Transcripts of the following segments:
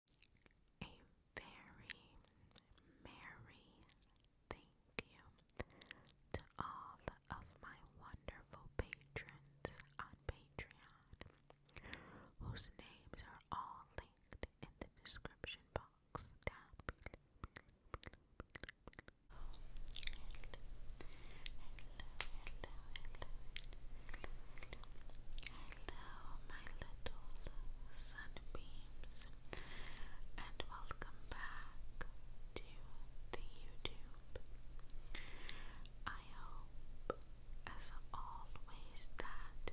A very merry thank you to all of my wonderful patrons on Patreon, whose names are all linked in the description box down Hello, my little sunbeams, and welcome back to the YouTube. I hope, as always, that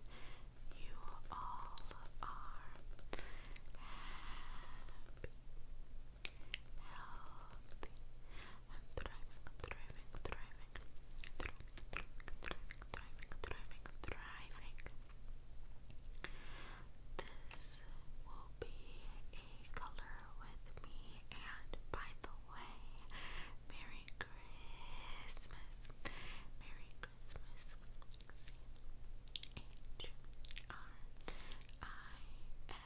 you all are happy, healthy, and thriving, thriving, thriving, thriving, thriving, thriving thriving, thriving, thriving. This will be a color with me, and by the way, Merry Christmas! Merry Christmas! C H R I S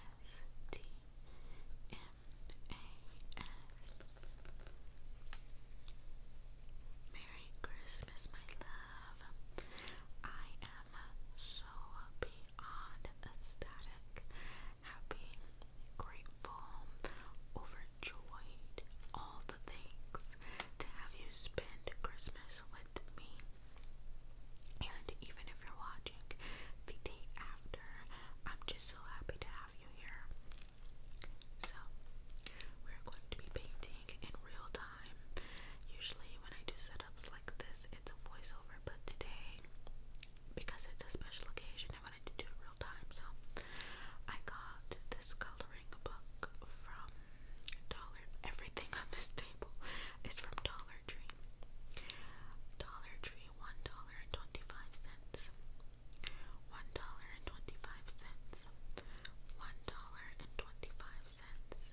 T M A S Merry Christmas, my love. I am so beyond ecstatic, happy, grateful, overjoyed, all the things to have you spend Christmas with me. And even if you're watching the day after, I'm just so happy to have you here. So, we're going to be painting in real time. Usually, when I do setups like this, it's a voiceover, but today, because it's a special occasion, I wanted to do it real time. So, I got this coloring book from Dollar. Everything on this table is from Dollar Tree. Dollar Tree, one dollar and twenty-five cents one dollar and twenty five cents, one dollar and twenty five cents,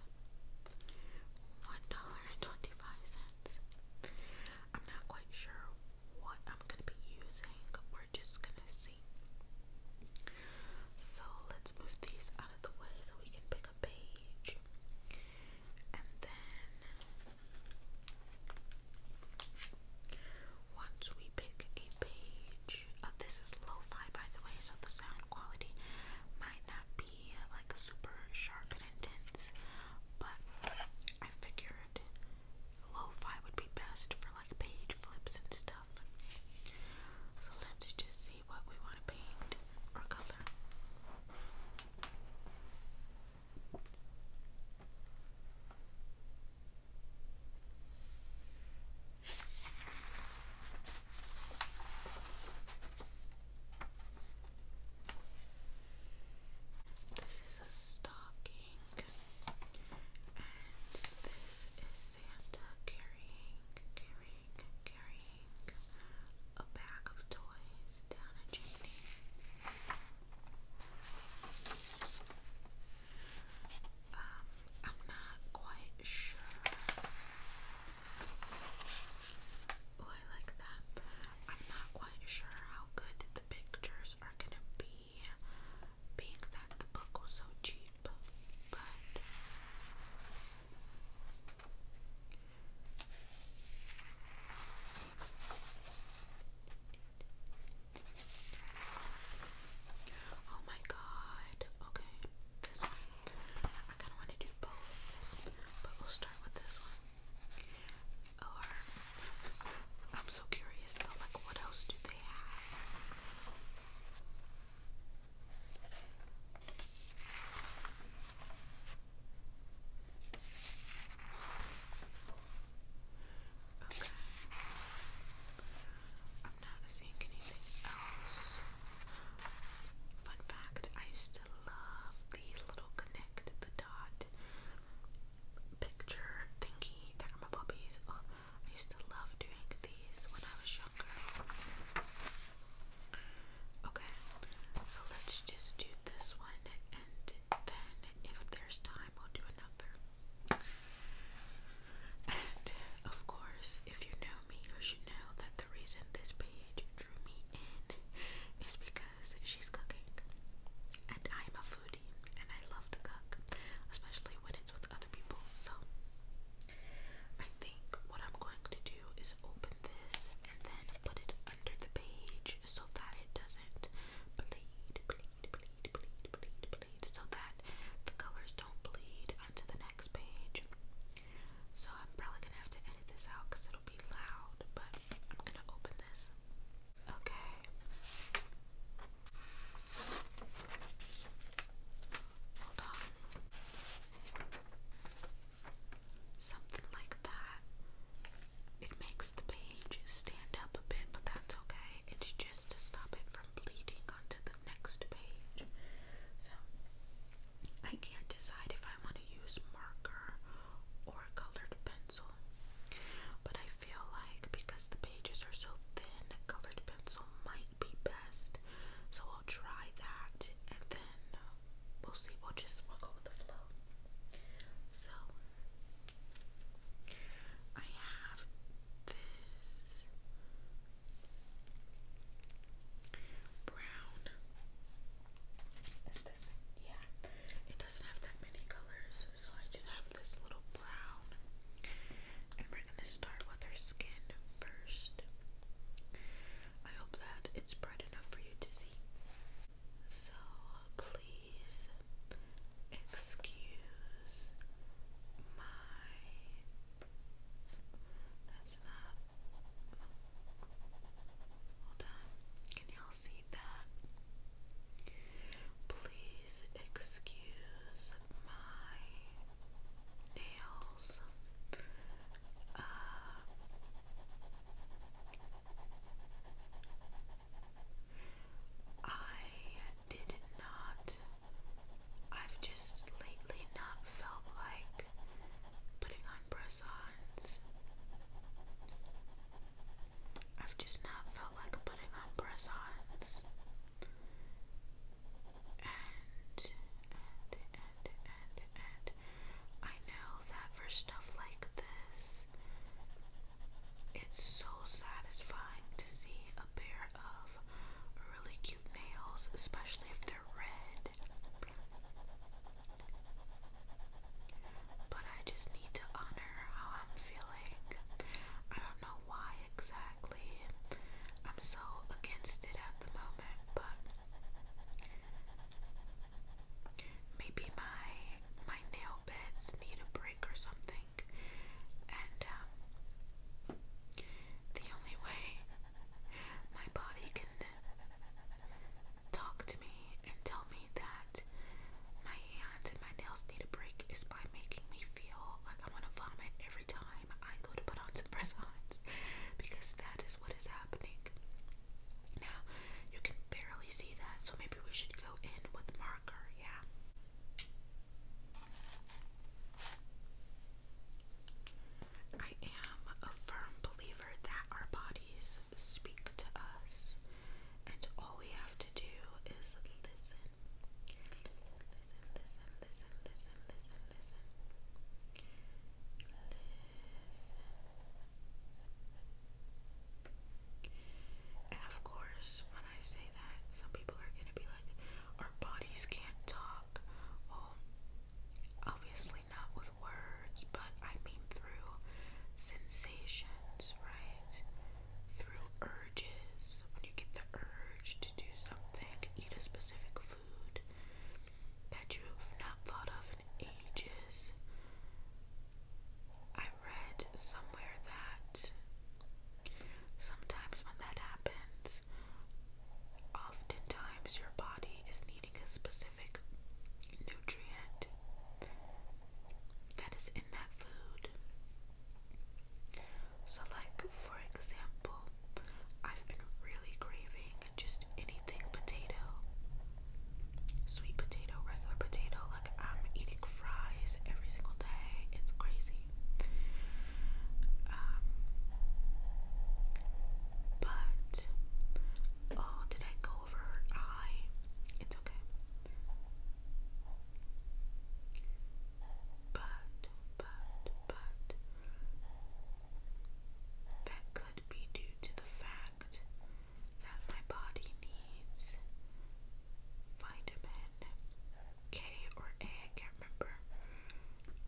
one dollar and twenty five cents. I'm not quite sure what I'm gonna be using, we're just gonna see. So let's move these out of the way so we can pick a page. And then once we pick a page, uh, this is lo-fi by the way, so the sound quality might not be uh, like super sharp and intense, but I figured lo-fi would be best for like page flips and stuff. So let's just see what we want to paint or color. This is a stocking, and this is Santa carrying, carrying, carrying a bag of toys down a chimney. Um, I'm not quite sure. Oh, I like that. I'm not quite sure how good the pictures are gonna be, being that the book was so cheap, but. Oh my god. Okay, this one. I kind of want to do both, but we'll start with this one. Or, I'm so curious though, like, what else do they have? Okay. I'm not seeing anything else. Fun fact, I used to love these little connect the dot picture thingy my puppies. Oh, I used to love doing these when I was younger. Okay, so let's just do this one and then if there's time we'll do another. And of course, if you know me, you should know that the reason this page drew me in is because she's cooking. And I'm a foodie and I love to cook, especially when it's with other people. So I think what I'm going to do is open this and then put it under the page so that it doesn't bleed, bleed, bleed, bleed, bleed, bleed, so that the colors don't bleed onto the next page. So I'm probably gonna have to edit this out because it'll be loud, but I'm gonna open this. Okay. Hold on. Something like that. It makes the page stand up a bit, but that's okay. It's just to stop it from bleeding on to the next page. So I can't decide if I want to use marker or colored pencil. But I feel like because the pages are so thin, colored pencil might be best. So I'll try that and then we'll see. We'll just work will with the flow. So I have this brown. Is this? Yeah. It doesn't have that many colors, so I just have this little brown. And we're going to start with her skin first. I hope that it's bright enough for you to see. So please Excuse my. That's not. Hold on. Can y'all see that? Please excuse my nails. Uh, I did not. I've just lately not felt like putting on press ons. I've just not felt like putting on press ons. And, and, and, and, and, I know that for stuff like this, it's so satisfying to see a pair of really cute nails, especially if they're red. But I just need to honor how I'm feeling. I don't know why exactly. I'm so against it at the moment, but maybe my my nail beds need a break or something. And um, the only way my body can talk to me and tell me that my hands and my nails need a break is by making me feel like I want to vomit every time I go to put on some press ons because that is what is happening. Now, you can barely see that, so maybe we should go in with marker, yeah. I am a firm believer that our bodies speak to us, and all we have to do is listen. Listen, listen, listen, listen, listen, listen. Listen. And of course, when I say that, some people are going to be our bodies can't talk. obviously not with words, but I mean through sensations, right? Through urges. When you get the urge to do something, eat a specific food that you've not thought of in ages. I read somewhere that Sometimes, when that happens, oftentimes your body is needing a specific nutrient that is in that food. So, like for example, I've been really craving just anything potato, sweet potato, regular potato. Like, I'm eating fries every single day, it's crazy. Um, but oh, did I go over eye? It's okay. But, but, but, that could be due to the fact that my body needs vitamin K or A, I can't remember.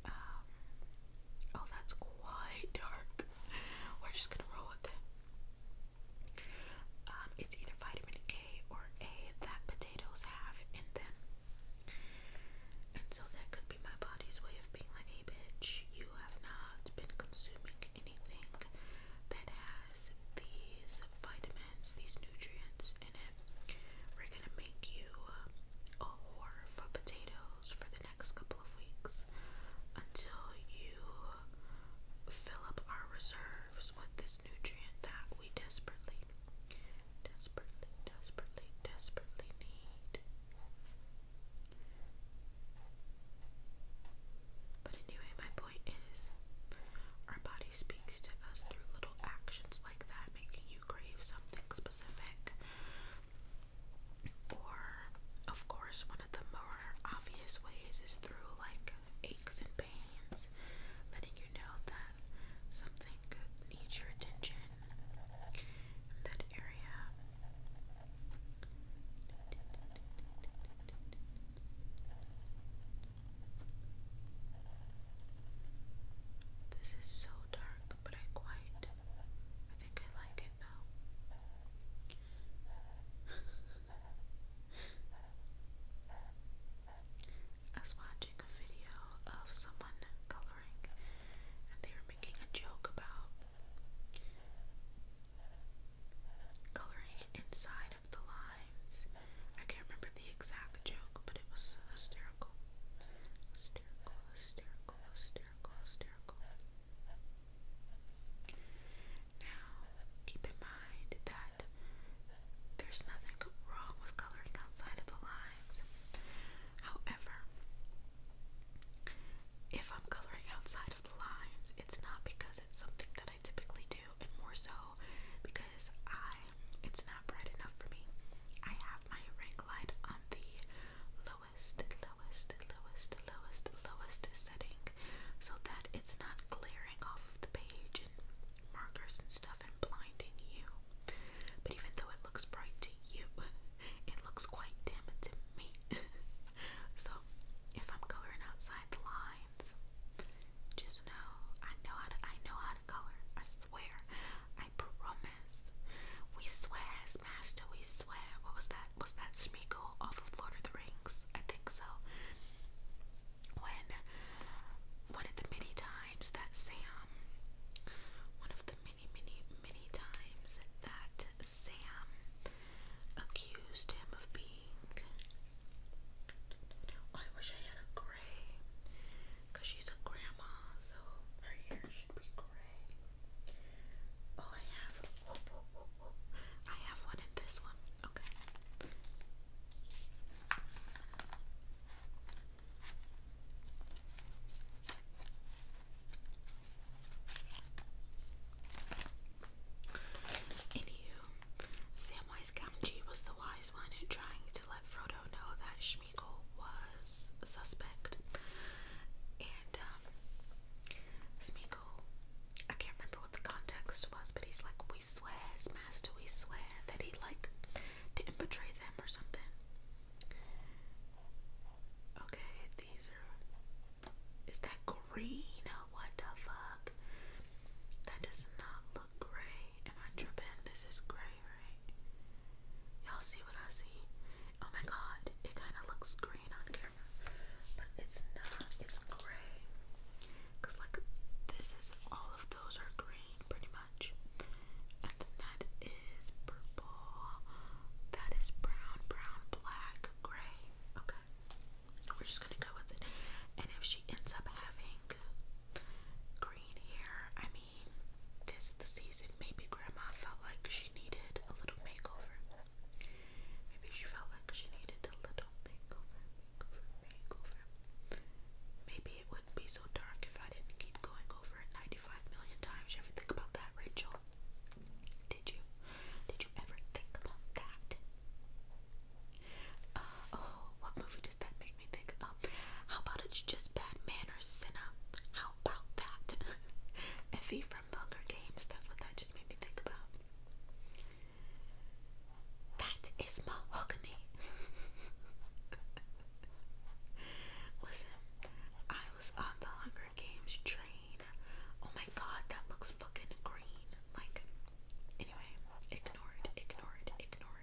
Um, oh, that's quite dark. We're just gonna roll with it. Um, it's either vitamin K or A that potatoes have in them. And so that could be my body's way of being like, a bitch, you have not been consuming anything that has these vitamins, these nutrients we're gonna make you a horror for potatoes for the next couple of weeks until you fill up our reserves with this nutrient that we desperately, desperately, desperately, desperately need. But anyway, my point is our body speaks to us through little actions like that, making you crave something specific. Or, of course, one of the more obvious ways is through like aches and pains, letting you know that something needs your attention that area. This is so dark, but I quite I think I like it though. I was watching a video of someone coloring and they were making a joke about coloring inside of the lines I can't remember the exact joke, but it was hysterical. Hysterical, hysterical, hysterical, hysterical. Now, keep in mind that there's nothing wrong with coloring outside of the lines. However, if I'm coloring outside of the lines, it's not because it's something that I typically do, and more so because I it's not bright enough for me. I have my ring light on the lowest, lowest, lowest, lowest, lowest setting so that it's not glaring off of the page and markers and stuff and blinding you. But even though it looks bright to you, it looks quite dim to me. so if I'm coloring outside the lines, just know I know how to I know how to color. I swear. I promise. We swear, Master, we swear. What was that? Was that Smeagol off of Lord of the Rings? I think so. When one of the many times that Sam, one of the many, many, many times that Sam accused him of being. I wish I had a because she's a grandma, so her hair should be gray. Oh, I have. I have one in this one. Okay. Anywho, Samwise Gamgee was the wise one in trying to let Frodo know that Schmiegel was a suspect, and um, I can't remember what the context was, but he's like, we swear, master, we swear that he like didn't betray them or something. Okay, these are. Is that green? what the fuck? That does not look gray. Am I tripping? This is gray, right? Y'all see what I see? Oh my god, it kind of looks green on camera, but it's not, it's gray. Because, like, this is all of those are green pretty much, and then that is purple, that is brown, brown, black, gray. Okay, we're just gonna go with it. And if she ends up having green hair, I mean mean, tis the season. Maybe Grandma felt like she needed a little makeover. Maybe she felt like she needed a little makeover, makeover, makeover. Maybe it wouldn't be so dark if I didn't keep going over it 95 million times. You ever think about that, Rachel? Did you? Did you ever think about that? Uh, oh, what movie does that make? make me think, oh, how about it's just bad manners, Senna? How about that? Effie from Vulgar Games, that's what that just made me think about. That is mahogany. Listen, I was on the Hunger Games train. Oh my god, that looks fucking green. Like, anyway, ignore it, ignore it, ignore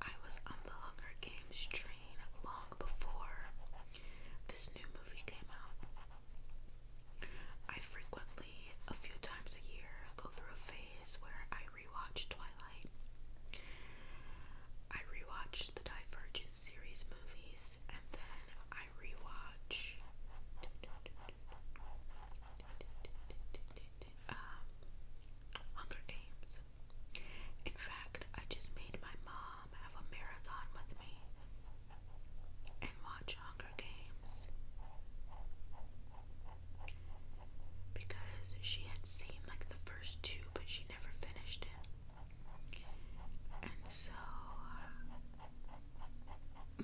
I was on the Hunger Games train long before this new movie came out. I frequently, a few times a year, go through a phase where I rewatch Twilight. I rewatch the Divergent series movies and then I rewatch um, Hunger Games. In fact, I just made my mom have a marathon with me and watch Hunger Games because she had seen like the first two, but she never finished it. And so, uh,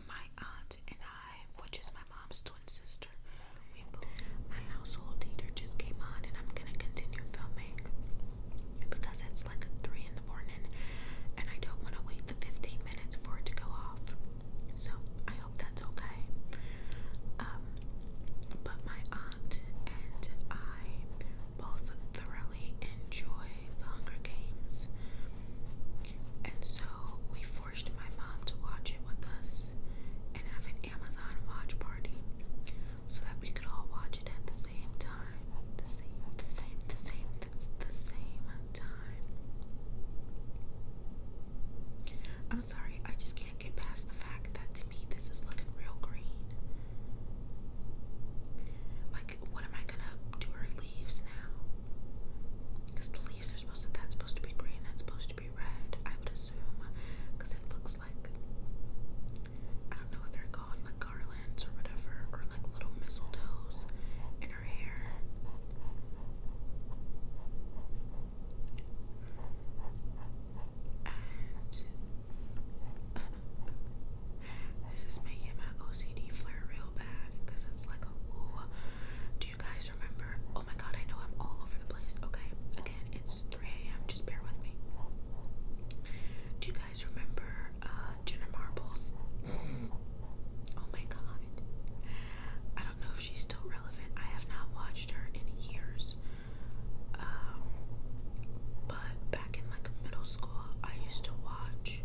my aunt and I, which is my mom's twin sister, my household heater just came on, and I'm gonna continue filming because it's like 3 in the morning, and I don't want to wait the 15 minutes for it to go off. So I hope that's okay. Um, but my aunt and I both thoroughly enjoy the Hunger Games, and so we forced my mom to watch it with us and have an Amazon watch party so that we could all watch it at the same time. The same, the same, the same, the, same time. I'm sorry, I just can't get past the fact that to me this is looking real green. Like, what am I gonna do? Her leaves now? Because the leaves are supposed that's supposed to be green, that's supposed be red, I would assume, because it looks like I don't know what they're called, like garlands or whatever, or like little mistletoes in her hair. And this is making my OCD flare real bad because it's like, ooh, do you guys remember? Oh my god, I know I'm all over the place. Okay, again, it's 3 a.m. Just bear with me. Do you guys remember uh, Jenna Marbles? Oh my god. I don't know if she's still relevant. I have not watched her in years. Um, but back in like middle school, I used to watch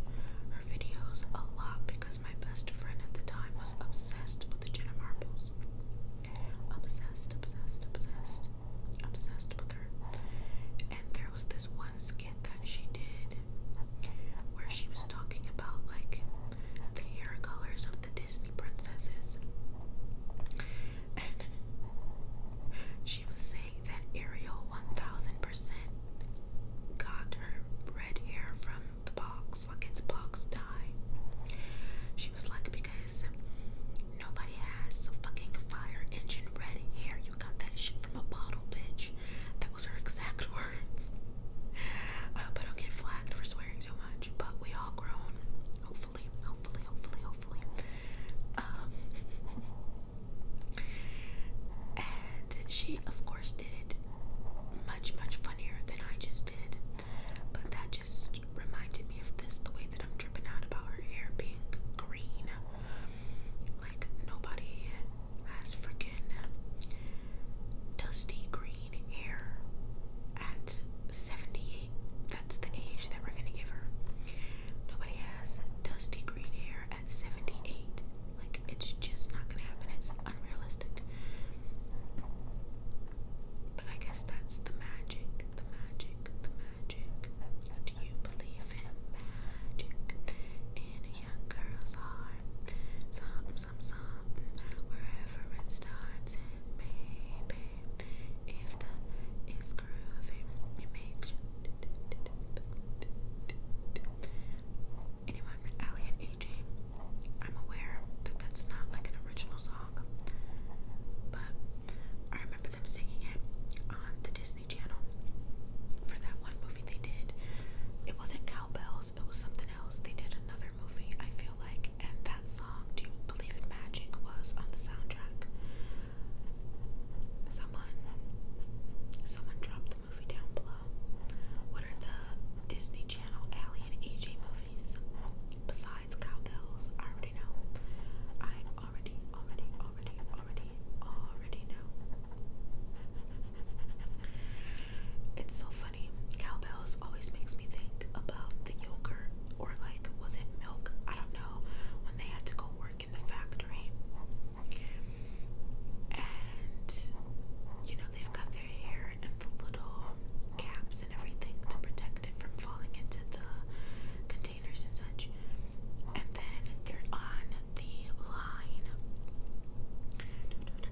her videos a lot because my best friend at the time was obsessed with the Jenna Marbles. Obsessed, obsessed, obsessed, obsessed with her. And there was this one skit that she did where she was talking about like the hair colors of the Disney princesses. And she was saying that Ariel 1000% got her red hair from the box, like it's box dye. She was like, because nobody has fucking fire engine red hair. You got that shit from a bottle, bitch. That was her exact words. I hope I don't get flagged for swearing too much, but we all grown. Hopefully, hopefully, hopefully, hopefully. Um, and she, of course, did it much, much funnier than I just did. But that just reminded me of this the way that I'm tripping out about her hair being green. Like, nobody has freaking dusty green hair at 78. That's the age that we're gonna give her. Nobody has dusty green hair at 78. Like, it's just not gonna happen. It's unrealistic. But I guess that's the magic, the magic, the magic. Do you believe in magic in a girl's heart? Something, some, something, wherever it starts, and maybe if the is groovy, it Anyone, Ali and AJ, I'm aware that that's not like an original song but I remember them singing it on the Disney Channel for that one movie they did. It wasn't Cowbells, it was something else. They did another movie, I feel like, and that song, Do You Believe in Magic, was on the soundtrack. Someone someone dropped the movie down below. What are the Disney Channel Allie AJ movies? Besides Cowbells, already know. I already, already, already, already, already know. It's so funny. Cowbells always makes me think about the yogurt, or like, was it milk? I don't know. When they had to go work in the factory. And, you know, they've got their hair and the little caps and everything to protect from falling into the containers and such. And then they're on the line.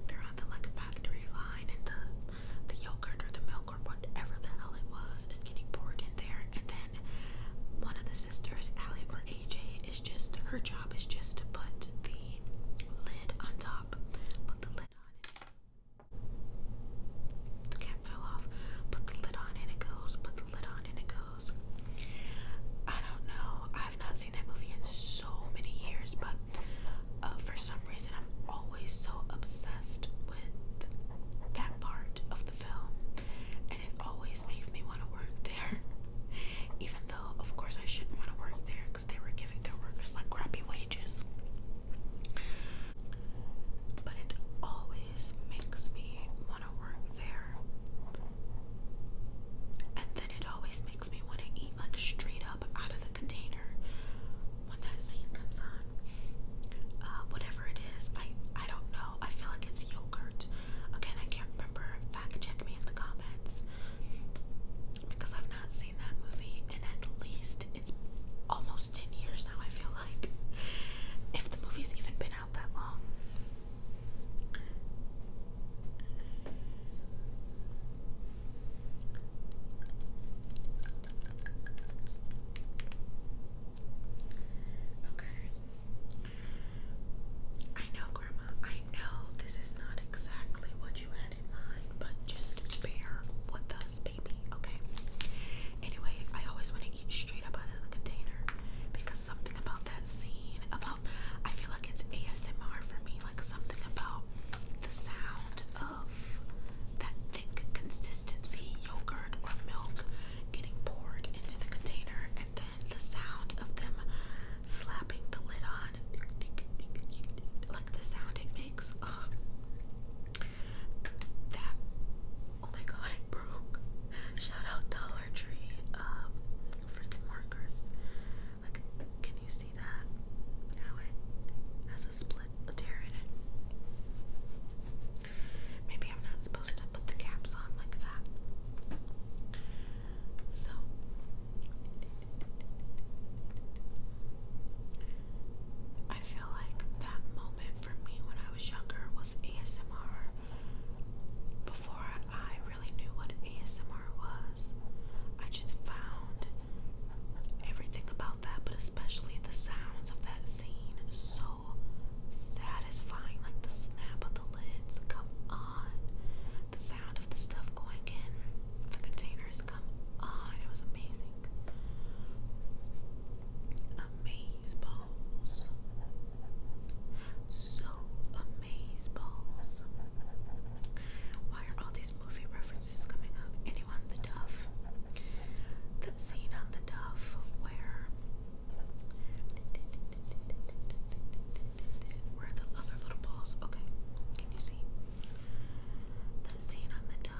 They're on the like factory line, and the the yogurt or the milk or whatever the hell it was is getting poured in there. And then one of the sisters, Ali or AJ, is just her job is just to put the lid on top, put the lid on the cap fell off. Put the lid on and it goes. Put the lid on and it goes. I don't know. I've not seen that movie in so many years, but uh, for some reason, I'm always so obsessed with that part of the film, and it always makes me want to work there. Even though, of course, I shouldn't want to work there because they were giving their workers like crappy wages. But it always makes me want to work there. And then it always makes me want to eat like straight out of the container when that scene comes on. Uh, whatever it is, I I don't know. I feel like it's yogurt. Again, I can't remember. Fact check me in the comments because I've not seen that movie in at least it's almost 10 years now, I feel like. If the movie's even been out that long. Okay. I know, Grandma, I know this is not exactly what you had in mind, but just bear with us, baby, okay? Anyway, I always want to eat straight up out of the container because something about that scene, about I feel like it's ASMR for me, like something about the sound of that thick consistency yogurt or milk getting poured into the container and then the sound of them slapping the lid on like the sound it makes. Ugh. That Oh my god, it broke. Shout out Dollar Tree um, freaking markers. Like, can you see that? How it has a split, a tear in it. Maybe I'm not supposed to put the caps on like that. So. I feel like that moment for me when I was younger was ASMR. Before I really knew what ASMR was, I just found everything about that, but especially the sounds of that scene so satisfying. Like the snap of the lids, come on. The sound of the stuff going in the containers, come on. It was amazing. Amaze balls. So amaze balls. Why are all these movie references coming up? Anyone the Duff? The scene on the Duff where where are the other little balls? Okay, can you see? The scene on the Duff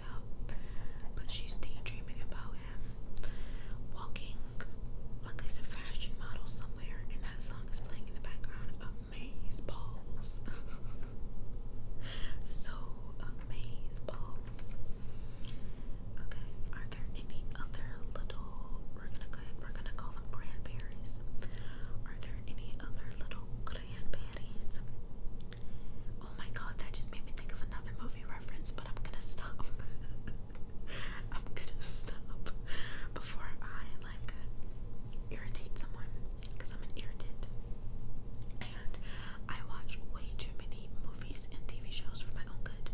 um, but she's daydreaming about him walking like he's a fashion model somewhere, and that song is playing in the background. Amaze balls. so amaze balls. Okay, are there any other little we're gonna go ahead, we're gonna call them cranberries. Are there any other little cranberries Oh my god, that just made me think of another movie reference, but I'm gonna stop. I'm gonna stop before I like irritate someone because I'm an And I watch way too many movies and TV shows for my own good.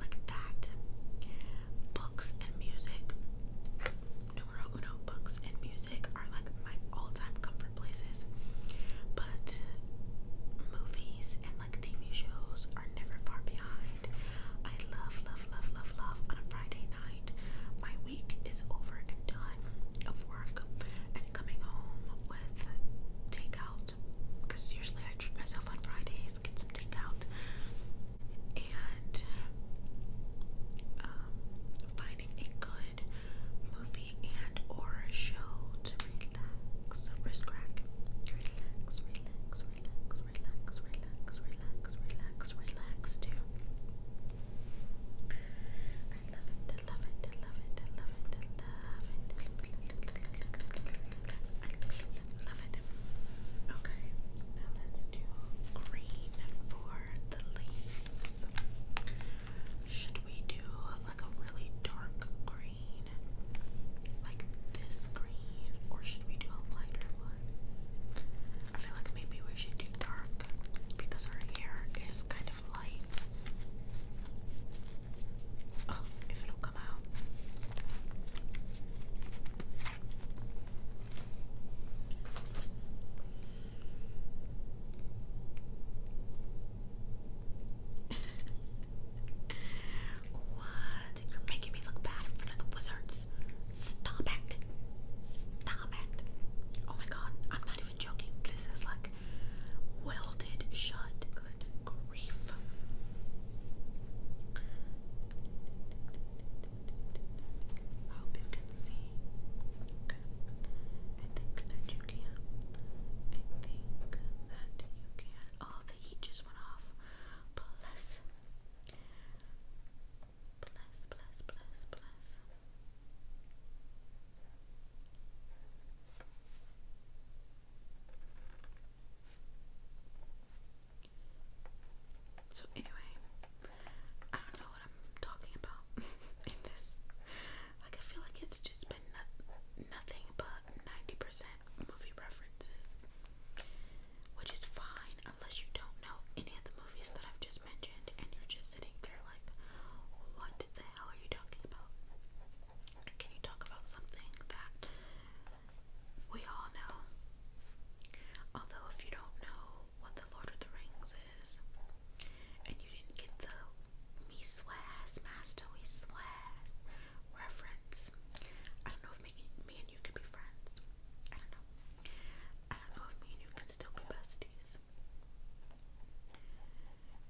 Like that. Books and music. Numero uno books and music are like my all-time comfort different places. But movies and like TV shows are never far behind. I love, love, love, love, love on a Friday night. My week is over and done of work and coming home with takeout because usually I treat myself on Fridays, get some takeout, and um, finding a good movie and or show to relax. Wrist Relax, relax, relax, relax, relax, relax, relax, relax too. I love it, I love it, love it, love it, love it. love it. Okay, now let's do green for the leaves. Should we do like a really dark green, like this green, or should we do a lighter one? I feel like maybe we should do dark because our hair is kind of light. Oh, if it'll come out. what? You're making me look bad in front of the wizards. Stop it. Stop it. Oh my god, I'm not even joking. This is like welded shut. Good grief. I hope you can see. I think that you can. I think that you can. Oh, the heat just went off. Bless. Bless, bless, bless, bless. So anyway, I don't know what I'm talking about in this. Like I feel like it's just been nothing but ninety percent movie references, which is fine unless you don't know any of the movies that I've just mentioned, and you're just sitting there like, what the hell are you talking about? Can you talk about something that we all know? Although if you don't know what the Lord of the Rings and you didn't get the me master we reference. I don't know if me, and you could be friends. I don't know. I don't know if me and you can still be besties.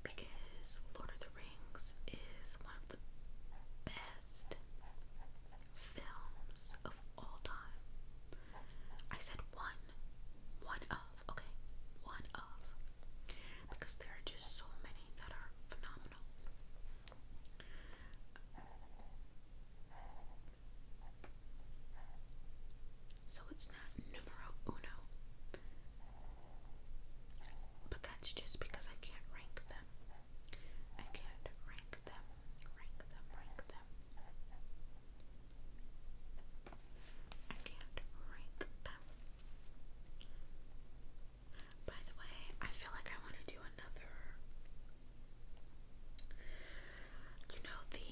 Because Lord of the Rings is one of the best films of all time. I said one one of, okay, one of, because there are just so many that are phenomenal. So it's not numero uno, but that's just because I can't rank them. I can't rank them, rank them, rank them. I can't rank them. By the way, I feel like I want to do another. You know, the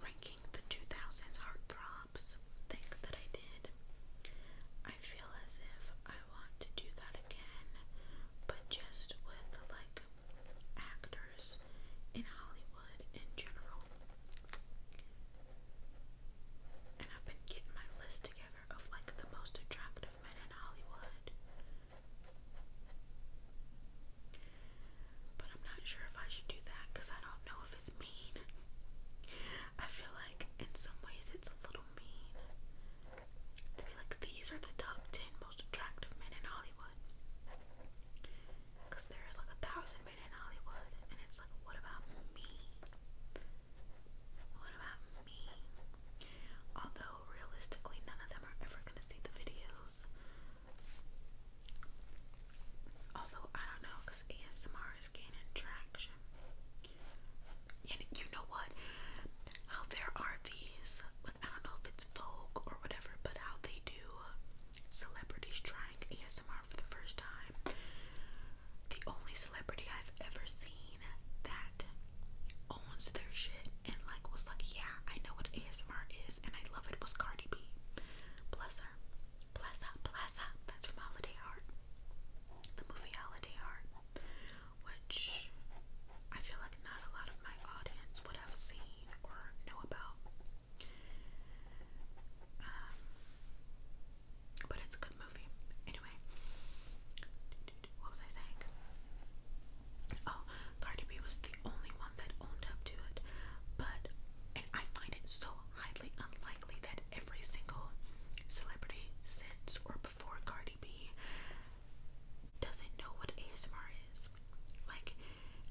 ranking the 2000s heartthrobs thing that I did. I feel as if I want to do that again, but just with like actors in Hollywood in general. And I've been getting my list together of like the most attractive men in Hollywood. But I'm not sure if I should do that because I don't know if it's mean. I feel like in some ways it's a little mean to be like, these are the top 10 most attractive men in Hollywood. Because there is like a thousand in Hollywood, and it's like, what about me? What about me? Although, realistically, none of them are ever gonna see the videos. Although, I don't know, because ASMR is gaining traction. And you know what? How there are these, like, I don't know if it's Vogue or whatever, but how they do celebrities trying ASMR for the first time the only celebrity I've ever seen that owns their shit and like was like, yeah, I know what ASMR is and I love it was Cardi B. Bless her. Bless up, bless up. That's from Holiday Heart. The movie Holiday Heart. Which I feel like not a lot of my audience would have seen or know about. Um, but it's a good movie. Anyway, what was I saying? Oh, Cardi B was the only one that owned up to it. But, I find it so highly unlikely that every single celebrity since or before Cardi B doesn't know what ASMR is. Like,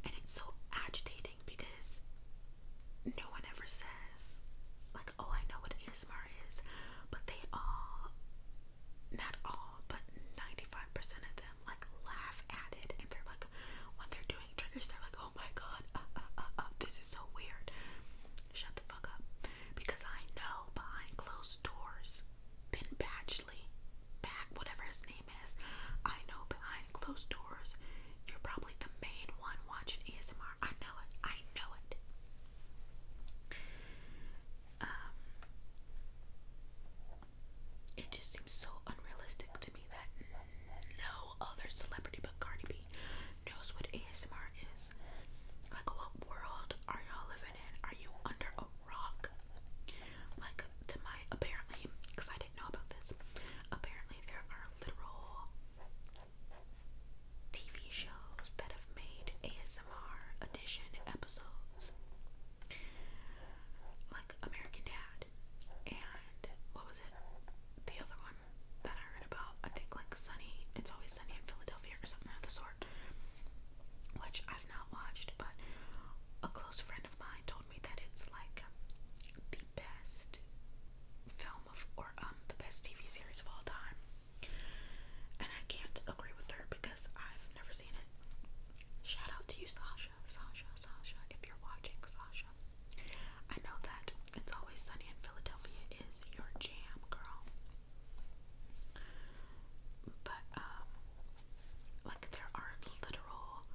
and it's so agitating because no one ever says, like, oh, I know what ASMR is, but they all, not all, but 95% of them, like, laugh at it. And they're like, when they're doing triggers, they're like, oh my god, uh, uh, uh, this is so weird. Shut the fuck up. Because I know behind closed doors, Ben Batchley, back, whatever his name is, I know behind closed doors, you're probably the main one watching ASMR. I know it. I know it. Um, it just seems so unrealistic to me that no other celebrity but Cardi B knows what ASMR is. Like, what world are y'all living in? Are you under a rock? Like, to my apparently, because I didn't know about this, apparently there are literal TV shows that have made ASMR edition episodes, like American Dad, and what was it? The other one that I read about, I think like Sunny, It's Always Sunny in Philadelphia or something of the sort, which I've not watched, but a close friend of mine told me that it's like the best film of or um the best TV series of all time. And I can't agree with her because I've never seen it. Shout out to you, Sasha, Sasha, Sasha, if you're watching, Sasha. I know that It's Always Sunny in Philadelphia is your jam, girl. But, um, like, there are literal,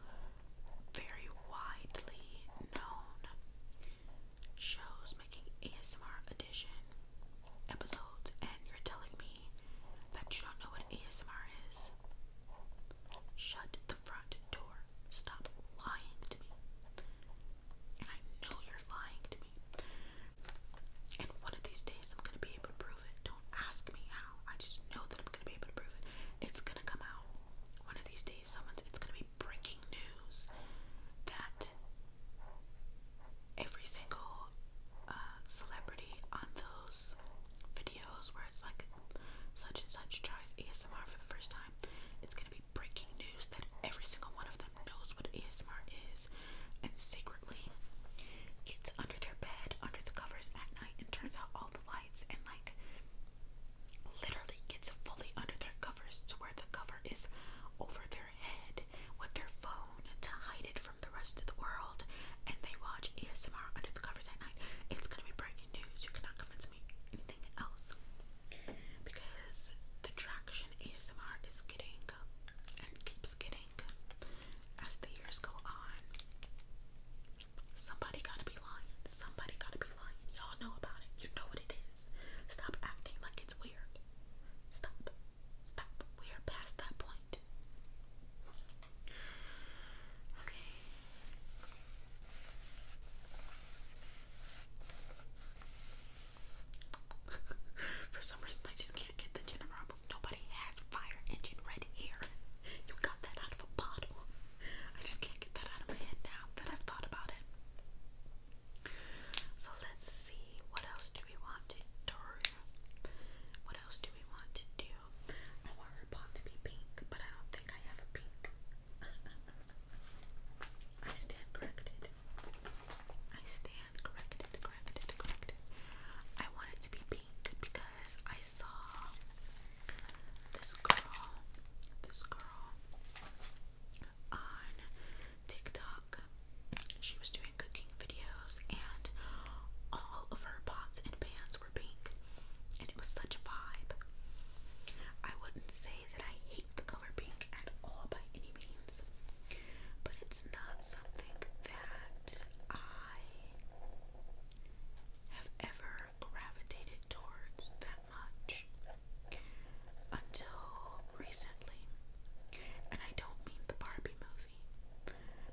very widely known shows making ASMR edition episodes, and you're telling me that you don't know what ASMR is? Shut the front door. Stop lying to me. And I know you're lying to me. And one of these days I'm gonna be able to prove it. Don't ask me how. I just know that I'm gonna be able to prove it. It's gonna come out. One of these days someone's it's gonna be breaking news that every single uh, celebrity on those videos where it's like such and such tries ASMR for the first time, it's gonna be breaking news that every single one of them knows what ASMR is and secretly gets under their bed, under the covers at night, and turns out all the lights and like literally gets fully under their covers to where the cover is over their head with their phone to hide it from the rest of the world and they watch ASMR under the covers at night. It's gonna be breaking news. You cannot convince me anything else. Because the traction ASMR is getting and keeps getting as the years go on. Somebody gotta be lying. Somebody gotta be lying. Y'all know about it. You know what it is. Stop acting like it's weird. Stop. Stop. We are past that point. Okay. For some reason, I just can't get the gin and Nobody has fire engine red hair. You got that out of a bottle. I just can't get that out of my head now that I've thought about it. So let's see, what else do we want to do? What else do we want to do? I want her pot to be pink, but I don't think I have a pink. I stand corrected. I stand corrected, corrected, corrected. I want it to be pink because I saw this girl, this girl, on TikTok. She was doing cooking videos, and all of her pots and pans were pink, and it was such a vibe. I wouldn't say that I hate the color pink at all by any means, but it's not something that I have ever gravitated towards much until recently. And I don't mean the Barbie movie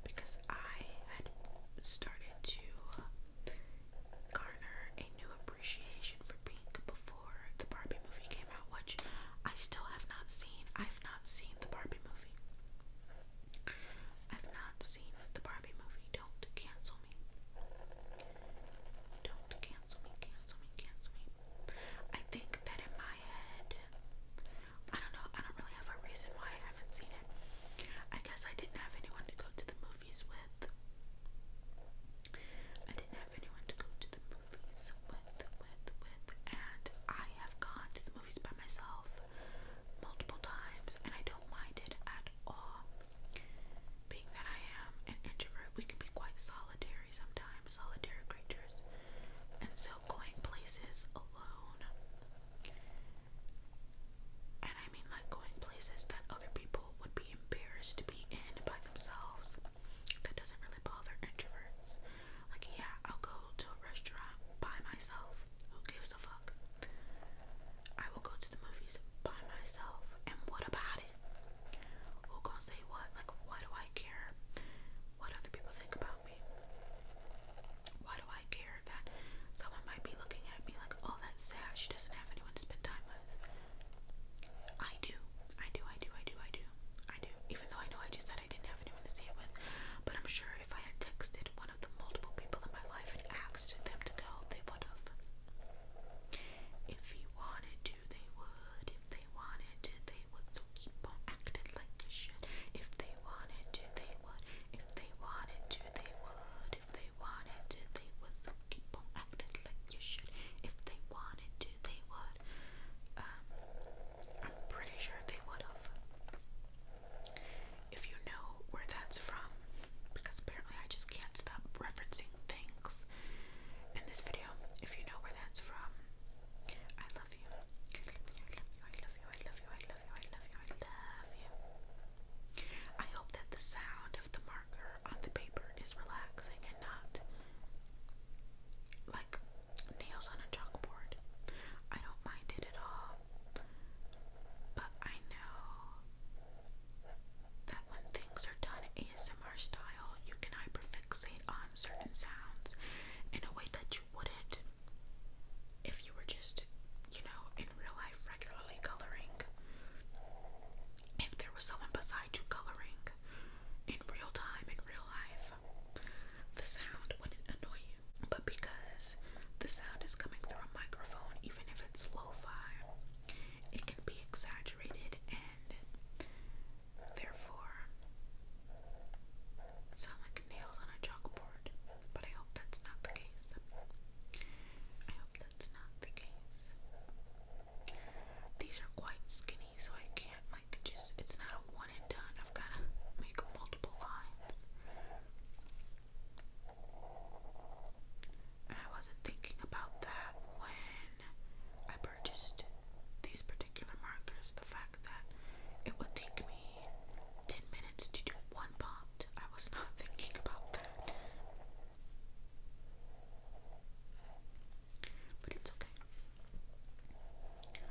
because I had started to garner a new appreciation for pink before the Barbie movie came out, which I still have not seen. I've not seen the Barbie movie. I've not seen the Barbie movie. Don't cancel me. Don't cancel me, cancel me, cancel me. I think that in my head, I don't know, I don't really have a reason why I haven't seen it. I guess I didn't have anyone to go to the movies with. I didn't have anyone to go to the movies with, with, with, and I have gone to the movies by myself multiple times, and I don't mind it at all. Being that I am an introvert, we can be quite solitary sometimes, solitary creatures. And so going places alone, and I mean like going places that other people would be embarrassed to be in by themselves, that doesn't really bother introverts. Like, yeah, I'll go to a restaurant by myself. Who gives a fuck? I will go to the movies by myself. And what about it? Who gonna say what? Like, why do I care what other people think about me? Why do I care that someone might be looking at me like, oh, that's sad, she doesn't have anyone to spend time with? I do. I do, I do, I do, I do, I do. Even though I know I just said I didn't have anyone to say it with. But I'm sure if I had texted one of the multiple people in my life and asked them to go, they would have. If you wanted to, they would if they wanted to. They would so keep on acting like they should. If they wanted to, they would. If they wanted to, they would. If they wanted to, they would so keep on acting like you should. If they wanted to, they would. Um, I'm pretty sure they would have. If you know where that's from, because apparently I just can't stop referencing things in this video. If you know where that's from, I love you. I love you. I love you. I love you. I love you. I love you. I love you. I hope that the sound of the marker on the paper is relaxing and not like nails on a chalkboard. I don't mind it at all. But I know that when things are done ASMR style, you can hyperfixate on certain sounds in a way that you wouldn't if you were just, you know, in real life regularly coloring. If there was someone beside you coloring in real time, in real life, the sound wouldn't annoy you. But because the sound is coming through a microphone, even if it's lo fi, it can be exaggerated and therefore sound like nails on a chalkboard. But I hope that's not the case. I hope that's not the case. These are quite skinny, so I can't like just. It's not a one and done. I've gotta make multiple lines and I wasn't thinking about that when I purchased these particular markers. The fact that it would take me 10 minutes to do one pot, I was not thinking about that. But it's okay.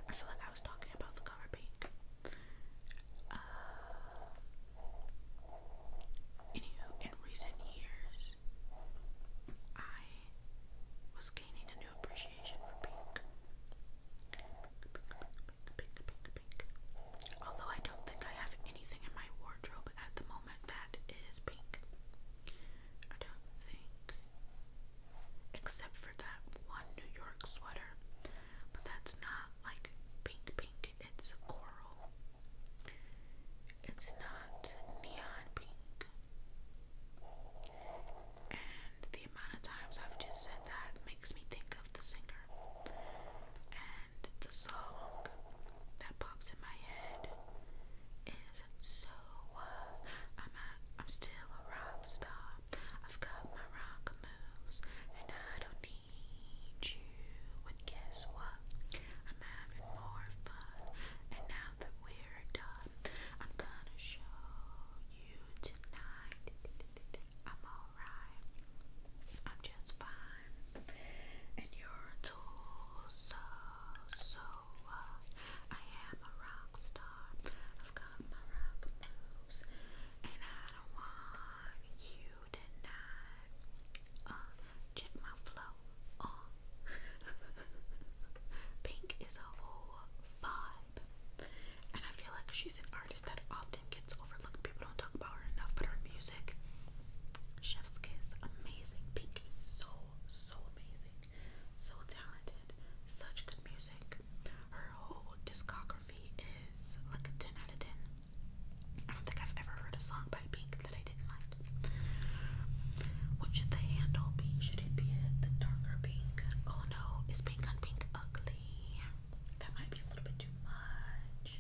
I feel like I was talking about the color pink. Uh, anywho, in recent years, I was gaining a new appreciation for pink. pink. Although I don't think I have anything in my wardrobe at the moment that is pink. I don't think. Except for that one New York sweater. But that's not like pink pink, it's coral. It's not neon pink. And the amount of times I've just said that makes me think of the singer. And the song that pops in my head is So uh, I'm, a, I'm still a rock star. I've got my rock moves. And I don't need you. And guess what? I'm having more fun. And now now we're done, I'm gonna show you tonight. I'm alright, I'm just fine, and you're too. So, so uh, I am a rock star. I've got my rock moves, and I don't want you tonight. Uh, check my flow. Pink is a whole vibe. And I feel like she's an artist that often gets overlooked. People don't talk about her enough, but her music, Chef's Kiss, amazing. Pink is so, so amazing. So talented. Such good music. Her whole discography is like a 10 out of 10. I don't think I've ever heard a song what should the handle be? Should it be the darker pink? Oh no, is pink on pink ugly? That might be a little bit too much.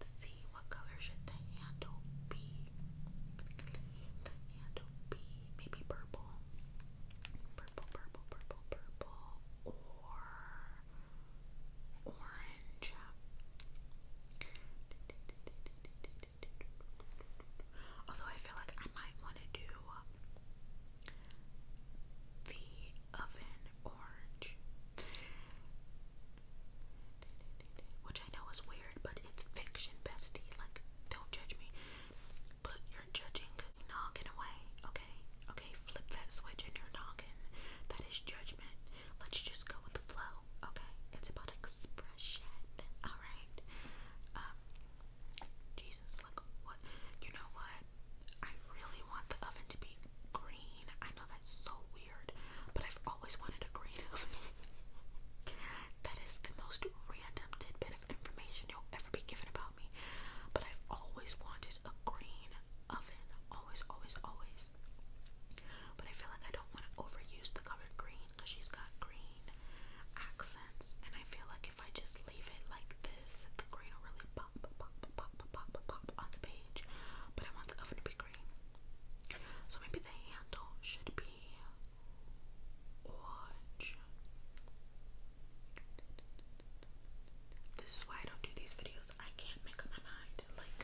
Let's see, what color should the handle be? handle be maybe purple. Purple, purple, purple, purple, or orange. Although I feel like I might want to do the oven orange, which I know is weird, but it's fiction, bestie. Like, don't judge me, but you're judging noggin away, okay? Okay, flip that switch and you're noggin. That is judging. Let's just go with the flow, okay? It's about expression, alright? Um, Jesus, like, what? You know what? I really want the oven to be green. I know that's so weird, but I've always wanted a green oven. that is the most random tidbit of information you'll ever be given about me, but I've always wanted a green oven. Always, always, always. But I feel like I don't want to overuse the color green because she's got green accents, and I feel like if I just leave it like this, the green will really pop, pop, pop, pop, pop, pop on the page. But I want the oven to be green, so maybe the handle should be orange. This is why I don't do these videos. I can't make up my mind. Like,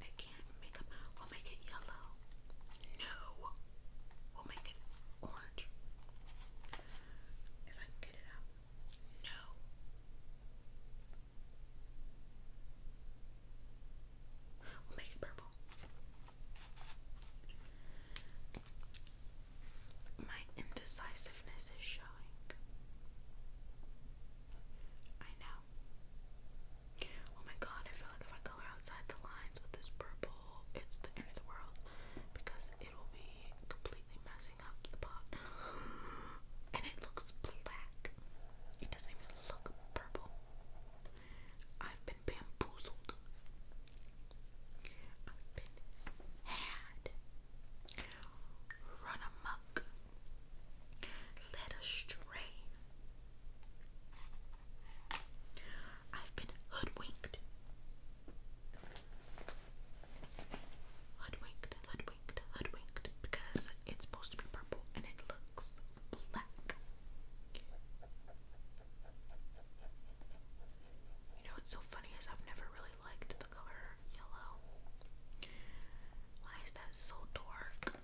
I can't make them. We'll make it yellow. No. We'll make it orange. If I get it up. No. We'll make it purple. My indecisiveness is showing. I know. Oh my god, I feel like if I color outside the lines with this purple, it's the end of the world because it will be completely messing up the pot. And it looks black. It doesn't even look purple. I've been bamboozled. I've been had. Run amok led astray. I've been hoodwinked. Hoodwinked, hoodwinked, hoodwinked, because it's supposed to be purple and it looks black. You know what's so funny is I've never really liked the color yellow. Why is that so dark?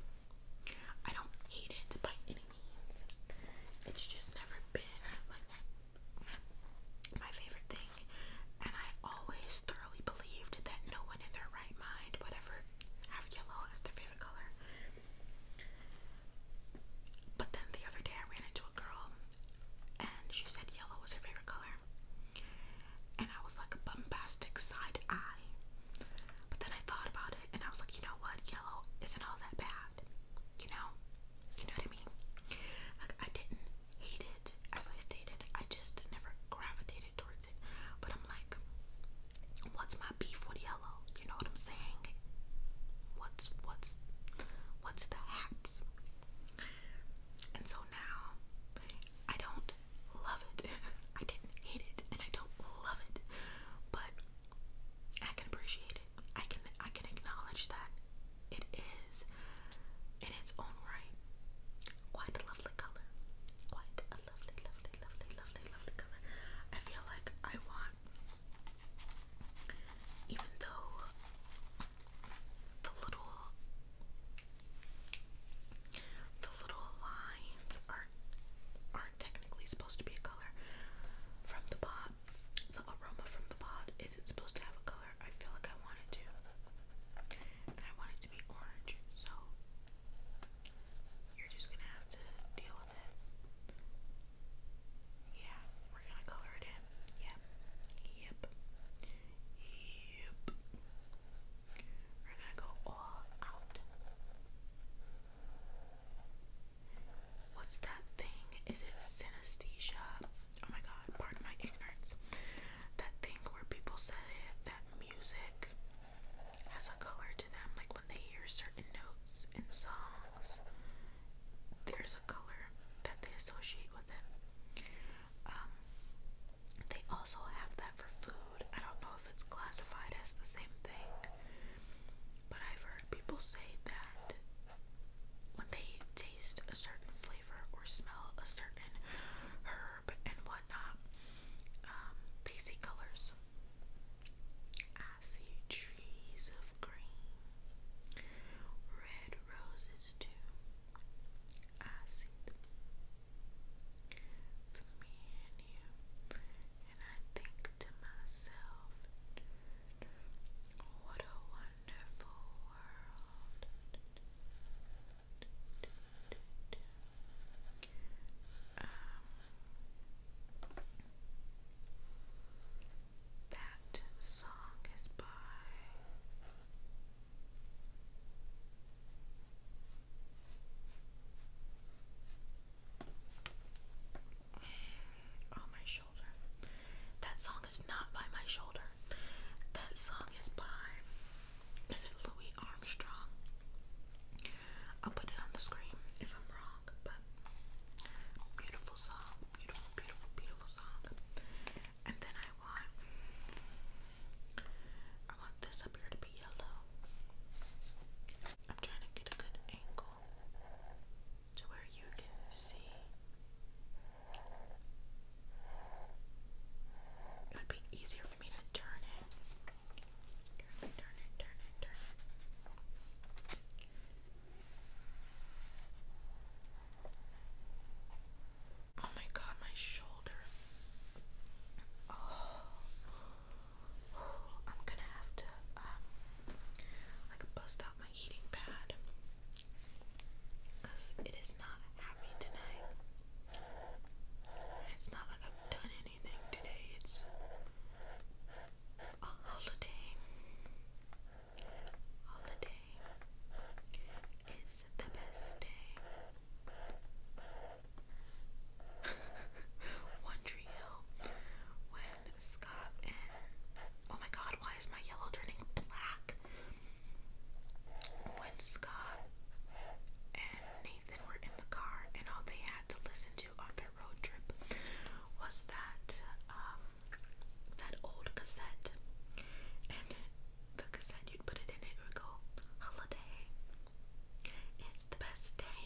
I don't hate it by any means. It's just never been like my favorite thing, and I always thoroughly believed that no one in their right mind would have yellow as their favorite color. But then the other day I ran into a girl and she said yellow was her favorite color and I was like a bombastic side eye. But then I thought about it and I was like, you know what? Yellow isn't all that bad. You know? You know what I mean? Like I didn't hate it as I stated. I just never gravitated towards it. But I'm like, what's my beef with yellow? You know what I'm saying? What's what's what's the haps? And so now I don't love it. I didn't hate it, and I don't love it, but I can appreciate it. I can I can acknowledge that it is in its own right quite a lovely color. Quite a lovely, lovely, lovely, lovely, lovely color. I feel like I want, even though the little the little lines are aren't technically supposed to be a color from the pot. The aroma from the pot isn't supposed to have a color. I feel like I want to. And I want to be orange, so you're just gonna have to deal with it. Yeah, we're gonna color it in. Yep. Yep. Yep. We're gonna go all out. What's that thing? Is it synesthesia? Oh my god, pardon my ignorance. That thing where people say that music has a color to them, like when they hear certain notes in songs, there's a color that they associate with it. Um, they also have that for food. I don't know if it's classified as the same thing, but I've heard people say that when they taste a certain flavor or smell a certain herb and whatnot, um, they see colors. I see trees of green, red roses too. I see for me and you. And I think to myself, what a wonderful world. that song is by. Oh, my shoulder. That song is not by my shoulder. That song is by. Is it Louis Armstrong? I'll put it on the screen if I'm wrong, but beautiful song, beautiful, beautiful, beautiful song. And then I want I want this up here to be yellow. I'm trying to get a good angle to where you can see. It would be easier for me to turn it. Turn it, turn it, turn it, turn it. Oh my god, my shoulder. Oh. I'm gonna have to um, like bust out my heating pad it is not happy tonight. It's not like I've done anything today. It's holiday. Holiday is the best day. One Tree Hill when Scott and oh my god, why is my yellow turning black? When Scott and Nathan were in the car and all they had to listen to on their road trip was that um, that old cassette and the cassette you'd put it in it would go holiday it's the best day.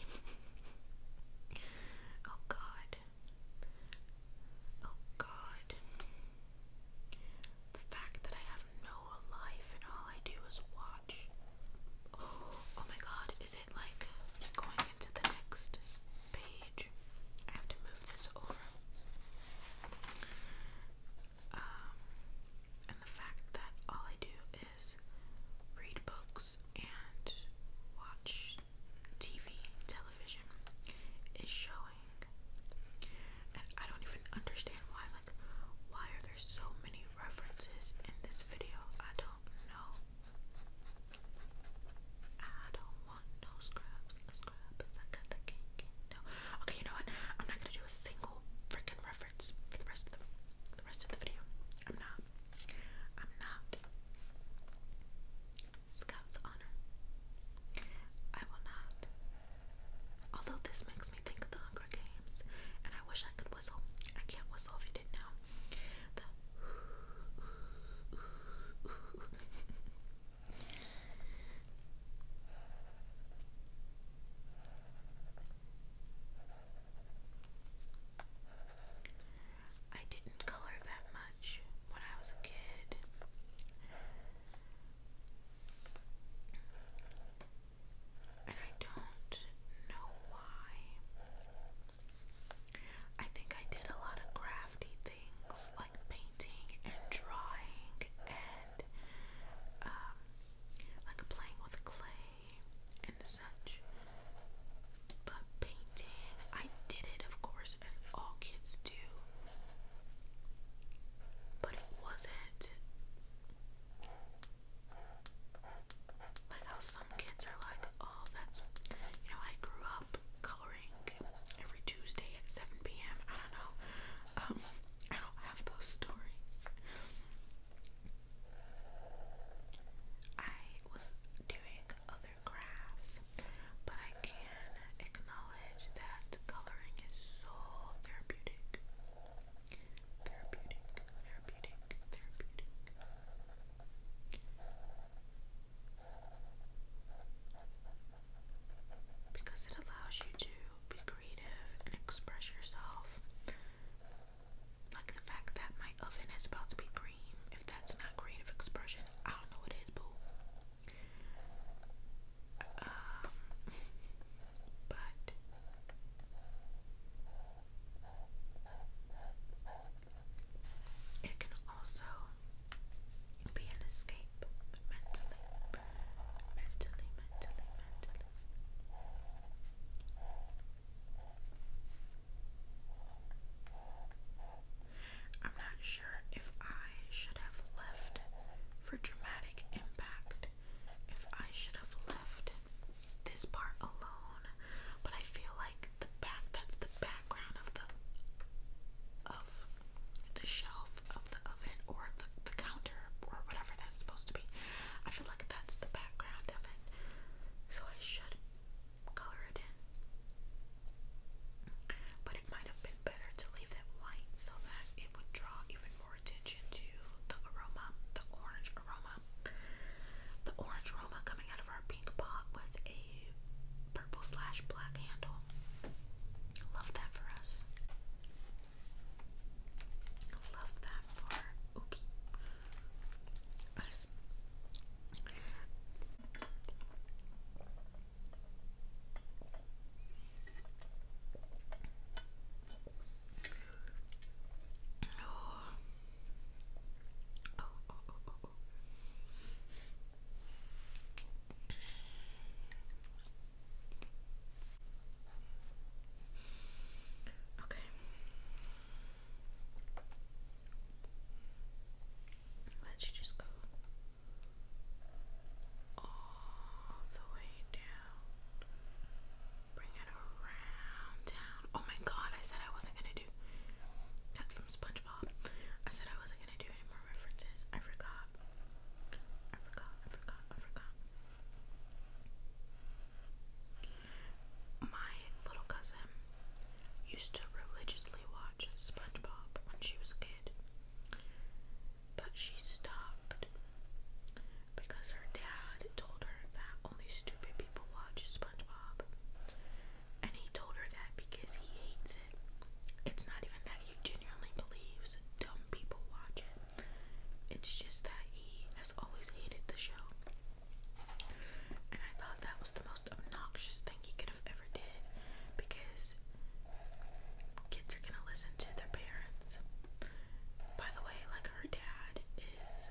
oh god. Oh god. The fact that I have no life and all I do is watch. Oh, my god, is it like going into the next page? I have to move this over. Um, and the fact that all I do read books and watch TV, television is showing. And I don't even understand why, like, why are there so many references in this video? I don't know. I don't want no scrubs. Scrubs, Okay, you know what? I'm not gonna do a single freaking reference for the rest of the, rest of the video. I'm not. I'm not. Scout's honor. I will not. Although this makes me think of the Hunger Games, and I wish I could whistle. I can't whistle you didn't know. I didn't color that much when I was a kid. And I don't know why. I think I did a lot of crafty things like painting and drawing and um, like playing with clay and such. But painting, I did it, of course, as all kids do. But it wasn't like how some kids are like, oh, that's, you know, I grew up coloring every Tuesday at 7 p.m. I don't know. Um, I don't have those stories. I was doing other crafts, but I can acknowledge that coloring is so therapeutic. Therapeutic, therapeutic, therapeutic. Because it allows you to be creative express yourself like the fact that my oven is about to be green. If that's not creative expression, I don't know what is, boo. Um, but it can also be an escape mentally, mentally, mentally, mentally. I'm not sure if I should have left for dramatic impact, if I should have left this part alone, but I feel like the back that's the background of the of the shelf of the oven or the, the counter or whatever that's supposed to be. I feel like that's the background of it so I should color it in. But it might have been better to leave it white so that it would draw even more attention to the aroma, the orange aroma. The orange aroma coming out of our pink pot with a purple slash black handle. Love that for us. Love that for oops us. Oh. Okay. Let's just go all the way down. Bring it around down. Oh my god, I said I wasn't gonna do that's from SpongeBob. I said I wasn't gonna do any more references. I forgot. I forgot, I forgot, I forgot. My little cousin used to religiously watch SpongeBob when she was a kid, but she stopped because her dad told her that only stupid people watch SpongeBob. And he told her that because he hates it. It's not even that he genuinely believes dumb people watch it, it's just that he has always hated the show. And I thought that was the most obnoxious thing he could have ever did because kids are gonna listen to their parents. By the way, like her dad is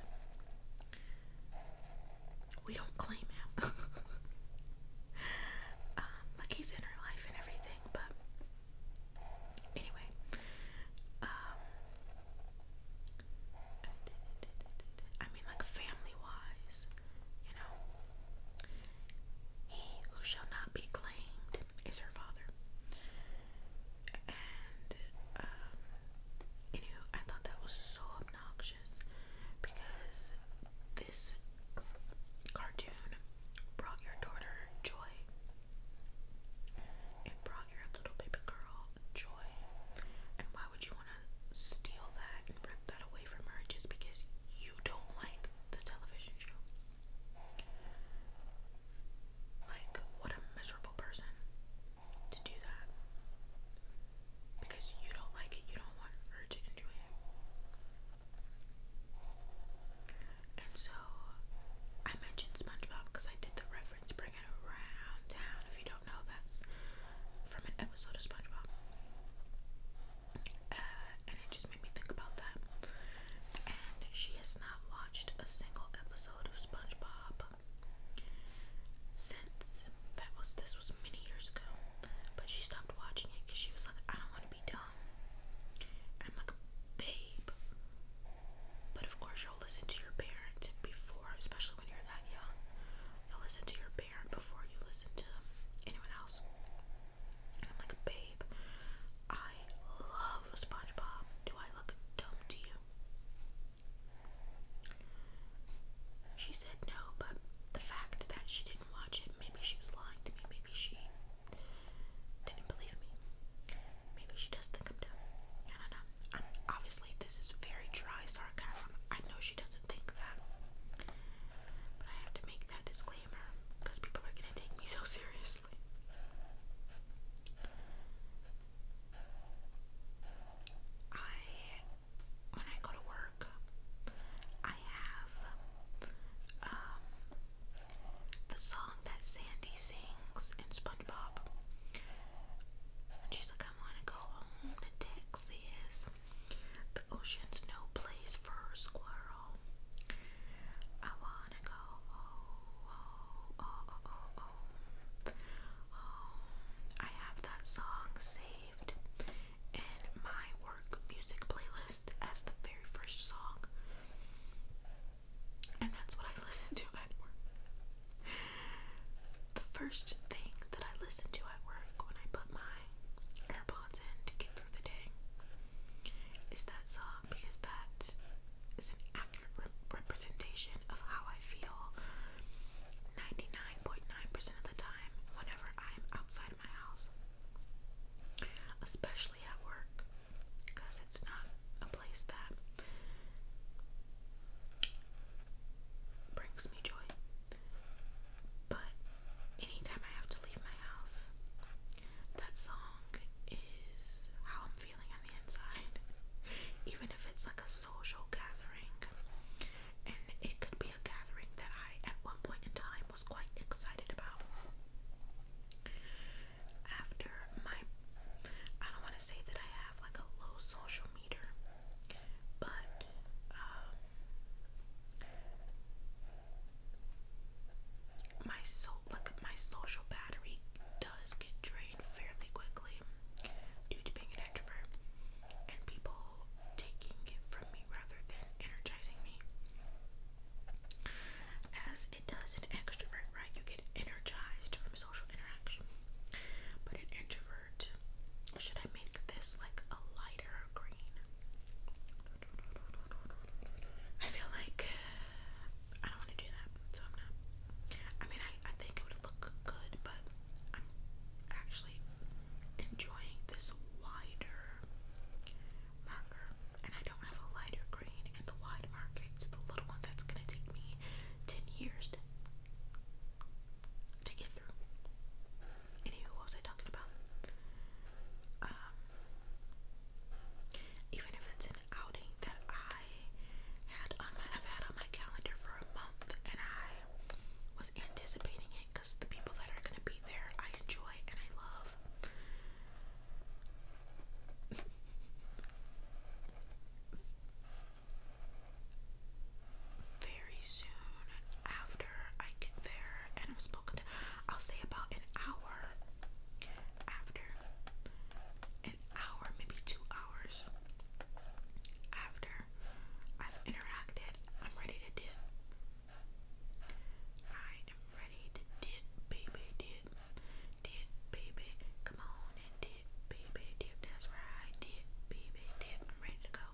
we don't claim him. um, in her life and everything, but anyway. Um, I mean, like family wise, you know. He who shall not be claimed is her father. And, um, you know, I thought that was so obnoxious because this cartoon brought your daughter joy. It brought girl, you little baby girl, joy. And why would you want to steal that and rip that away from her just because you don't like the television show? Like, what a miserable person to do that. Because you don't like it, you don't want her to enjoy it. And so, I mentioned SpongeBob because I did the reference, bring around town. If you don't know, that's from an episode of SpongeBob. Uh, and it just made me think about that. And she has not watched a single episode of SpongeBob since that was this was many years ago. But she stopped watching it because she was like, I don't want to be dumb. I'm like, babe. But of course, listen to your parent before, especially when you're that young. listen to your parent before you listen to anyone else. I'm like, babe, I love SpongeBob. Do I look dumb to you? She said no, but the fact that she didn't watch it, maybe she was lying to me, maybe she didn't believe me. Maybe she does think I'm I don't know. obviously, this is very dry sarcasm. I know she doesn't think that. But I have to make that disclaimer because people are going to take me so seriously. I, when I go to work, I have um, the song that Sandy sings in SpongeBob. she's like, I want to go home to Texas. The ocean's no place for a squirrel. I want to go home, oh, oh, oh, oh, home. I have that song saved in my work music playlist as the very first song. And that's what I listen to at work. The first thing that I listen to at work when I put my AirPods in to get through the day is that song because that is an accurate representation of how I feel 99.9% percent of the time whenever I am outside of my house, especially at work because it's not a place that brings me joy. But anytime I have to leave my house, that song is how I'm feeling on the inside. Even if it's like a social gathering, and it could be a gathering that I, at one point in time, was quite excited about. After my, I don't want to say that I have like a low social meter, but um, my so like my social battery does get drained fairly quickly due to being an introvert and people taking it from me rather than energizing me. As it does an extrovert, right? You get energized from social interaction. But an introvert, should I make this like a lighter green? I feel like uh, I don't want to do that, so I'm not. I mean, I, I think it would look good, but I'm actually enjoying this wider marker. And I don't have a lighter green, and the wide marker, it's the little one that's gonna take me 10 years to get through. Anywho, what was I talking about? Um, even if it's an outing that I had on my, I've had on my calendar for a month, and I was anticipating it because the people that are gonna be there, I enjoy and I love very soon after I get there, and I've spoken to, I'll say about an hour after, an hour, maybe two hours after I've interacted, I'm ready to dip. I am ready to dip, baby, dip, dip, baby, come on and dip baby dip. That's right, dip, baby dip. I'm ready to go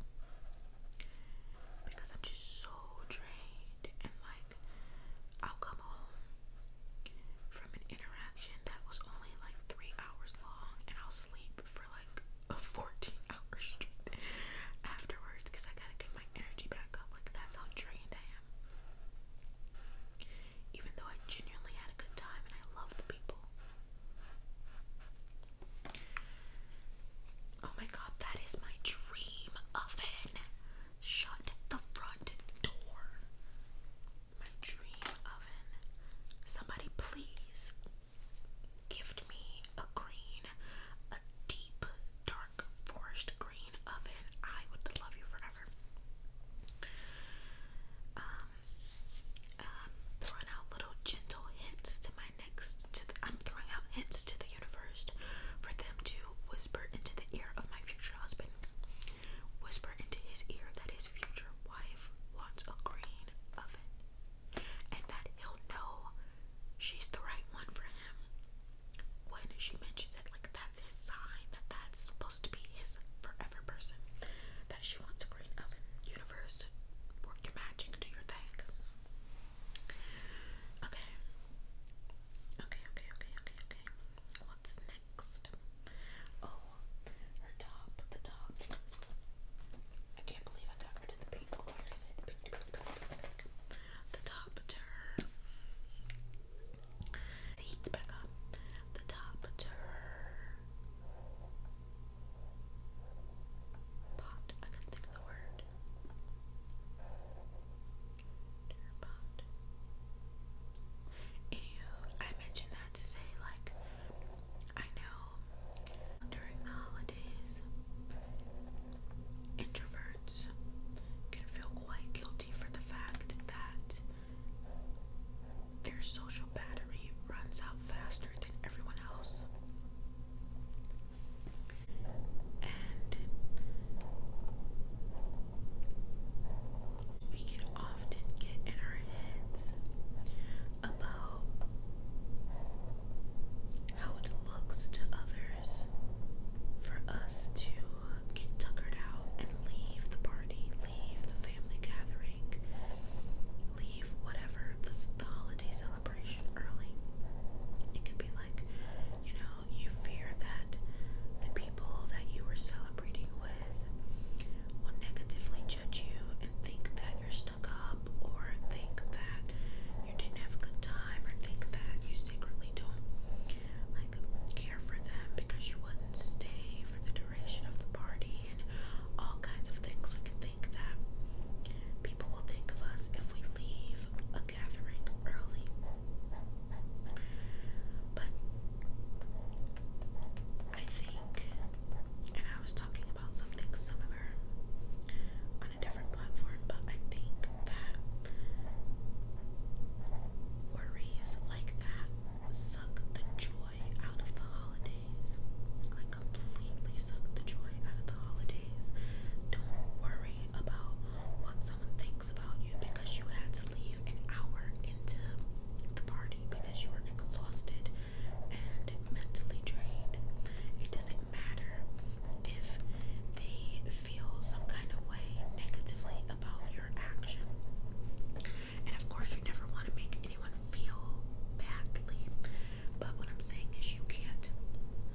because I'm just so drained and like I'll come home from an interaction that was only like three hours long, and I'll sleep for like a 14 hour straight afterwards because I gotta get my energy back up. Like that's how drained I am even though I genuinely had a good time and I love the people. Oh my god, that is my dream oven. Shut the front door. My dream oven. Somebody please gift me a green, a deep, dark forest green oven. I would love you forever. Um um, throwing out little gentle hints to my next. I'm throwing out hints to the universe for them to whisper into the ear of my future husband. Whisper into his ear that his future wife wants a green oven, and that he'll know she's the right one for him when she mentions it. Like that's his sign that that's supposed to be his forever person that she wants a green oven. Universe, work your magic, do your thing. Okay. Okay, okay, okay, okay, What's next? Oh, her top, the top. I can't believe I got rid of the pink. Where is The top to The heat's back up. The top to pot. I can't think of the word. Dear Anywho, I mentioned that to say, like, I know during the holidays, introverts can feel quite guilty for the fact that their social battery runs out faster than everyone else. And we can often get in our heads about how it looks to others for us to get tuckered out and leave the party, leave the family gathering, leave whatever the, the holiday celebration early. It could be like, you know, you fear that the people that you were celebrating with will negatively judge you and think that you're stuck up, or think that you didn't have a good time, or think that you secretly don't like care for them because you wouldn't stay for the duration of the party and all kinds of things we can think that people will think of us if we leave a gathering early. But I think, and I was talking about something similar on a different platform, but I think that worries like that suck the joy out of the holidays. Like completely suck the joy out of the holidays. Don't worry about what someone thinks about you because you had to leave an hour into the party because you were exhausted and mentally drained. It doesn't matter if they feel some kind of way negatively about your action. And of course, you never want to make anyone feel badly. But what I'm saying is, you can't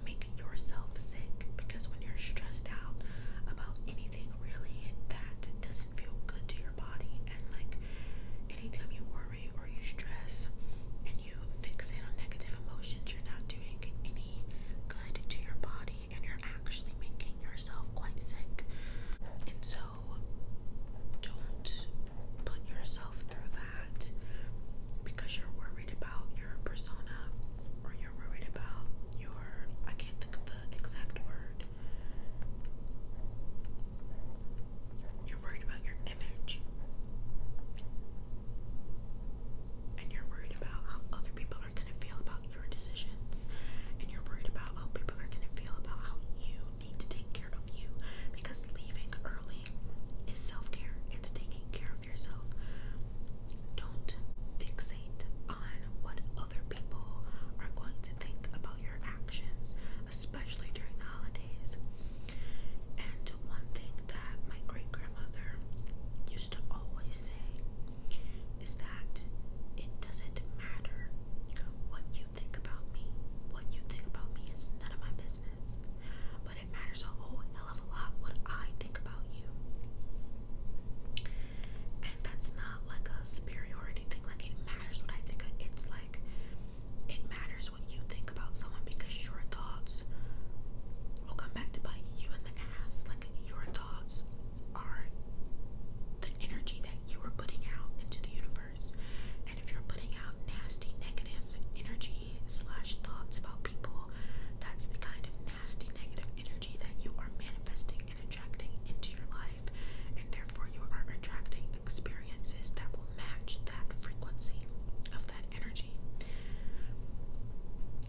make yourself sick because when you're stressed out about anything, really, that doesn't feel good to your body. And like, anytime you worry or you stress and you fixate on negative emotions, you're not doing any good to your body and you're actually making yourself quite sick. And so, so don't put yourself through that because you're worried about your persona or you're worried about your I can't think of the exact word. You're worried about your image. And you're worried about how other people are going to feel about your decisions. And you're worried about how people are going to feel about how you need to take care of you because leaving early is self care. It's taking care of yourself. Don't fixate on what other people are going to think about your actions, especially during the holidays. And one thing that my great grandmother used to always say is that it doesn't matter what you think about me, what you think about me is none of my business. But it matters a whole hell of a lot what I think about you. And that's not like a superiority thing. Like it matters what I think It's like it matters what you think about someone because your thoughts will come back to bite you in the ass. Like your thoughts are the energy that you are putting out into the universe. And if you're putting out nasty, negative energy slash thoughts about people, that's the kind of nasty, negative energy that you are manifesting and attracting into your life. And therefore, you are attracting experiences that will match that frequency of that energy.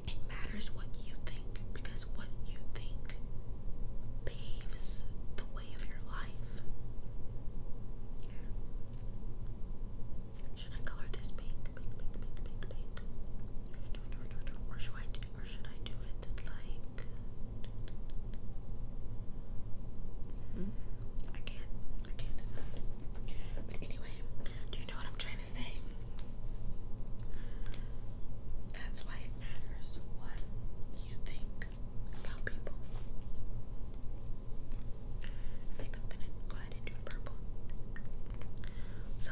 It matters what you think because what you think paves the way Should I color this pink? Or should I do, it like? I can't. I can't decide. But anyway, do you know what I'm trying to say? That's why it matters what you think about people. think I'm gonna go ahead and do purple. So,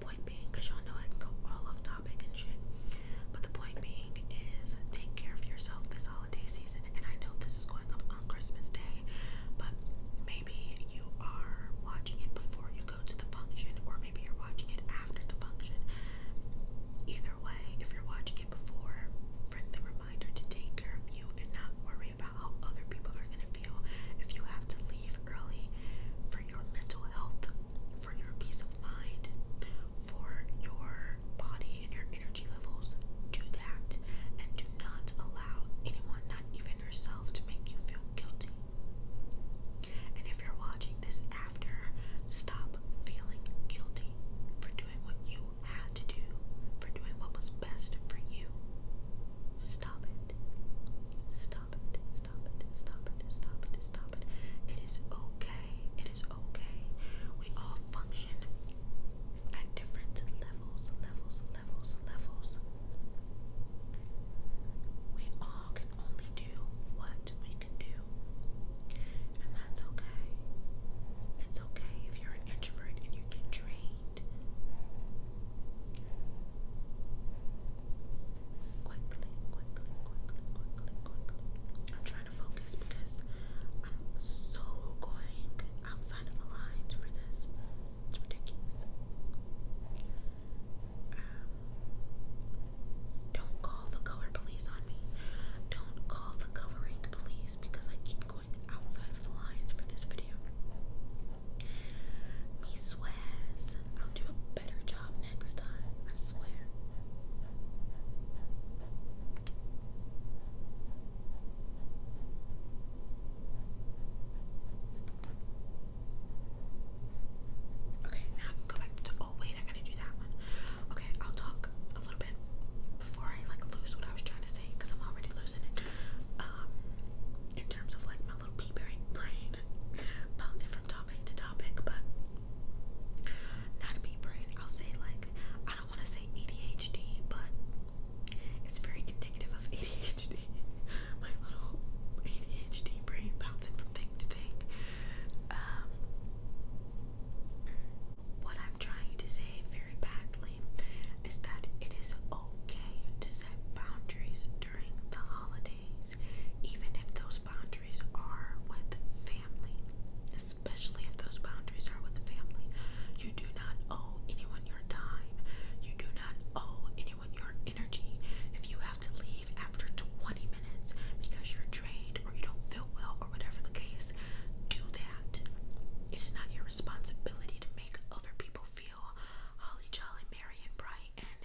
point being, y'all know I can go all off topic and shit, but the point being is take care of yourself this holiday season. And I know this is going up on Christmas Day, but maybe you are watching it before you go to the function, or maybe you're watching it after the function. Either if you're watching it before, friendly reminder to take care of you and not worry about how other people are going to feel if you have to leave early for your mental health, for your peace of mind, for your body and your energy levels. Do that and do not allow anyone, not even yourself, to make you feel guilty. And if you're watching this after. Stop feeling guilty for doing what you had to do, for doing what was best for you. Stop it. Stop it. Stop it. Stop it. Stop it. Stop it. It is okay. It is okay. We all function at different levels, levels, levels, levels. We all can only do what we can do and that's okay. It's okay if you're an introvert and you get drained quickly, quickly, quickly, quickly, quickly. I'm trying to focus because I'm so going outside of the lines for this. It's ridiculous. Um, don't call the color police on me. Don't call the coloring police because I keep going outside the lines for this video. Me swears I'll do a better job next time. I swear. Okay, now go back to Oh wait, I gotta do that one. Okay, I'll talk a little bit before I like lose what I was trying to say because I'm already losing it. Um, in terms of like my little pea brain, bouncing from topic to topic, but not a pea brain. I'll say like I don't want to say ADHD, but it's very indicative of ADHD. my little ADHD brain bouncing from thing to thing. Um, what I'm trying to say very badly is that it is okay to set boundaries during the holidays, even if those boundaries are with family, especially if those boundaries are with family. You do not owe anyone your time, you do not owe anyone your energy. If you have to leave, after 20 minutes because you're drained or you don't feel well or whatever the case, do that. It is not your responsibility to make other people feel holly jolly, merry, and bright and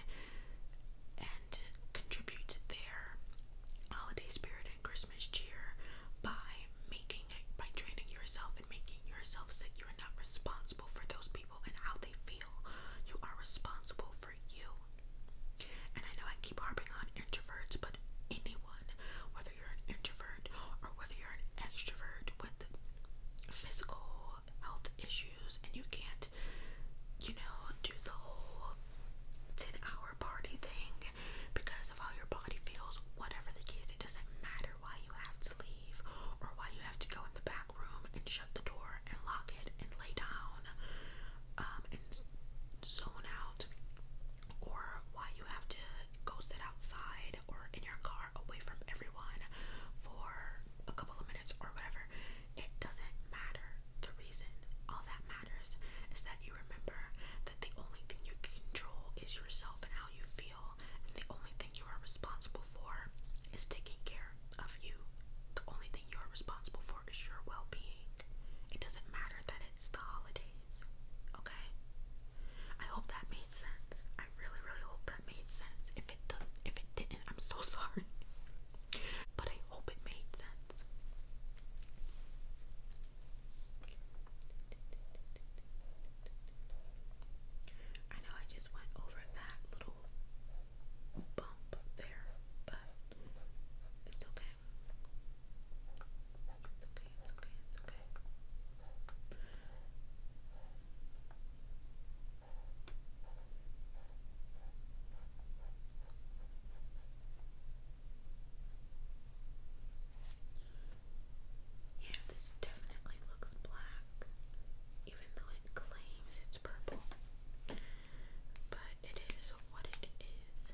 and contribute to their holiday spirit and Christmas cheer by making it by draining yourself and making yourself sick. You're not responsible for those people and how they feel. You are responsible for you. And I know I keep harping on introverts, but anyone, whether you're an introvert or whether you're an extrovert with physical health issues and you can't, you know, do the whole 10 hour party thing because of how your body feels, whatever the case, it doesn't matter why you have to leave or why you have to go in the back room and shut the door and lock it and lay down um, and zone out, or why you have to go sit outside or in your car away from everyone for a couple of minutes or whatever, it doesn't matter. The reason all that matters is that you remember that the only thing you can control is yourself and how you feel, and the only thing you are responsible for is taking care of you. The only thing you are responsible for is your well being. It doesn't matter that it's the holidays, okay? I hope that made sense. I really, really hope that made sense. If it did, if it didn't, I'm so sorry. But I hope it made sense. I know I just went over that little bump there, but it's okay. It's okay, it's okay, it's okay. Yeah, this definitely looks black, even though it claims it's purple but it is what it is.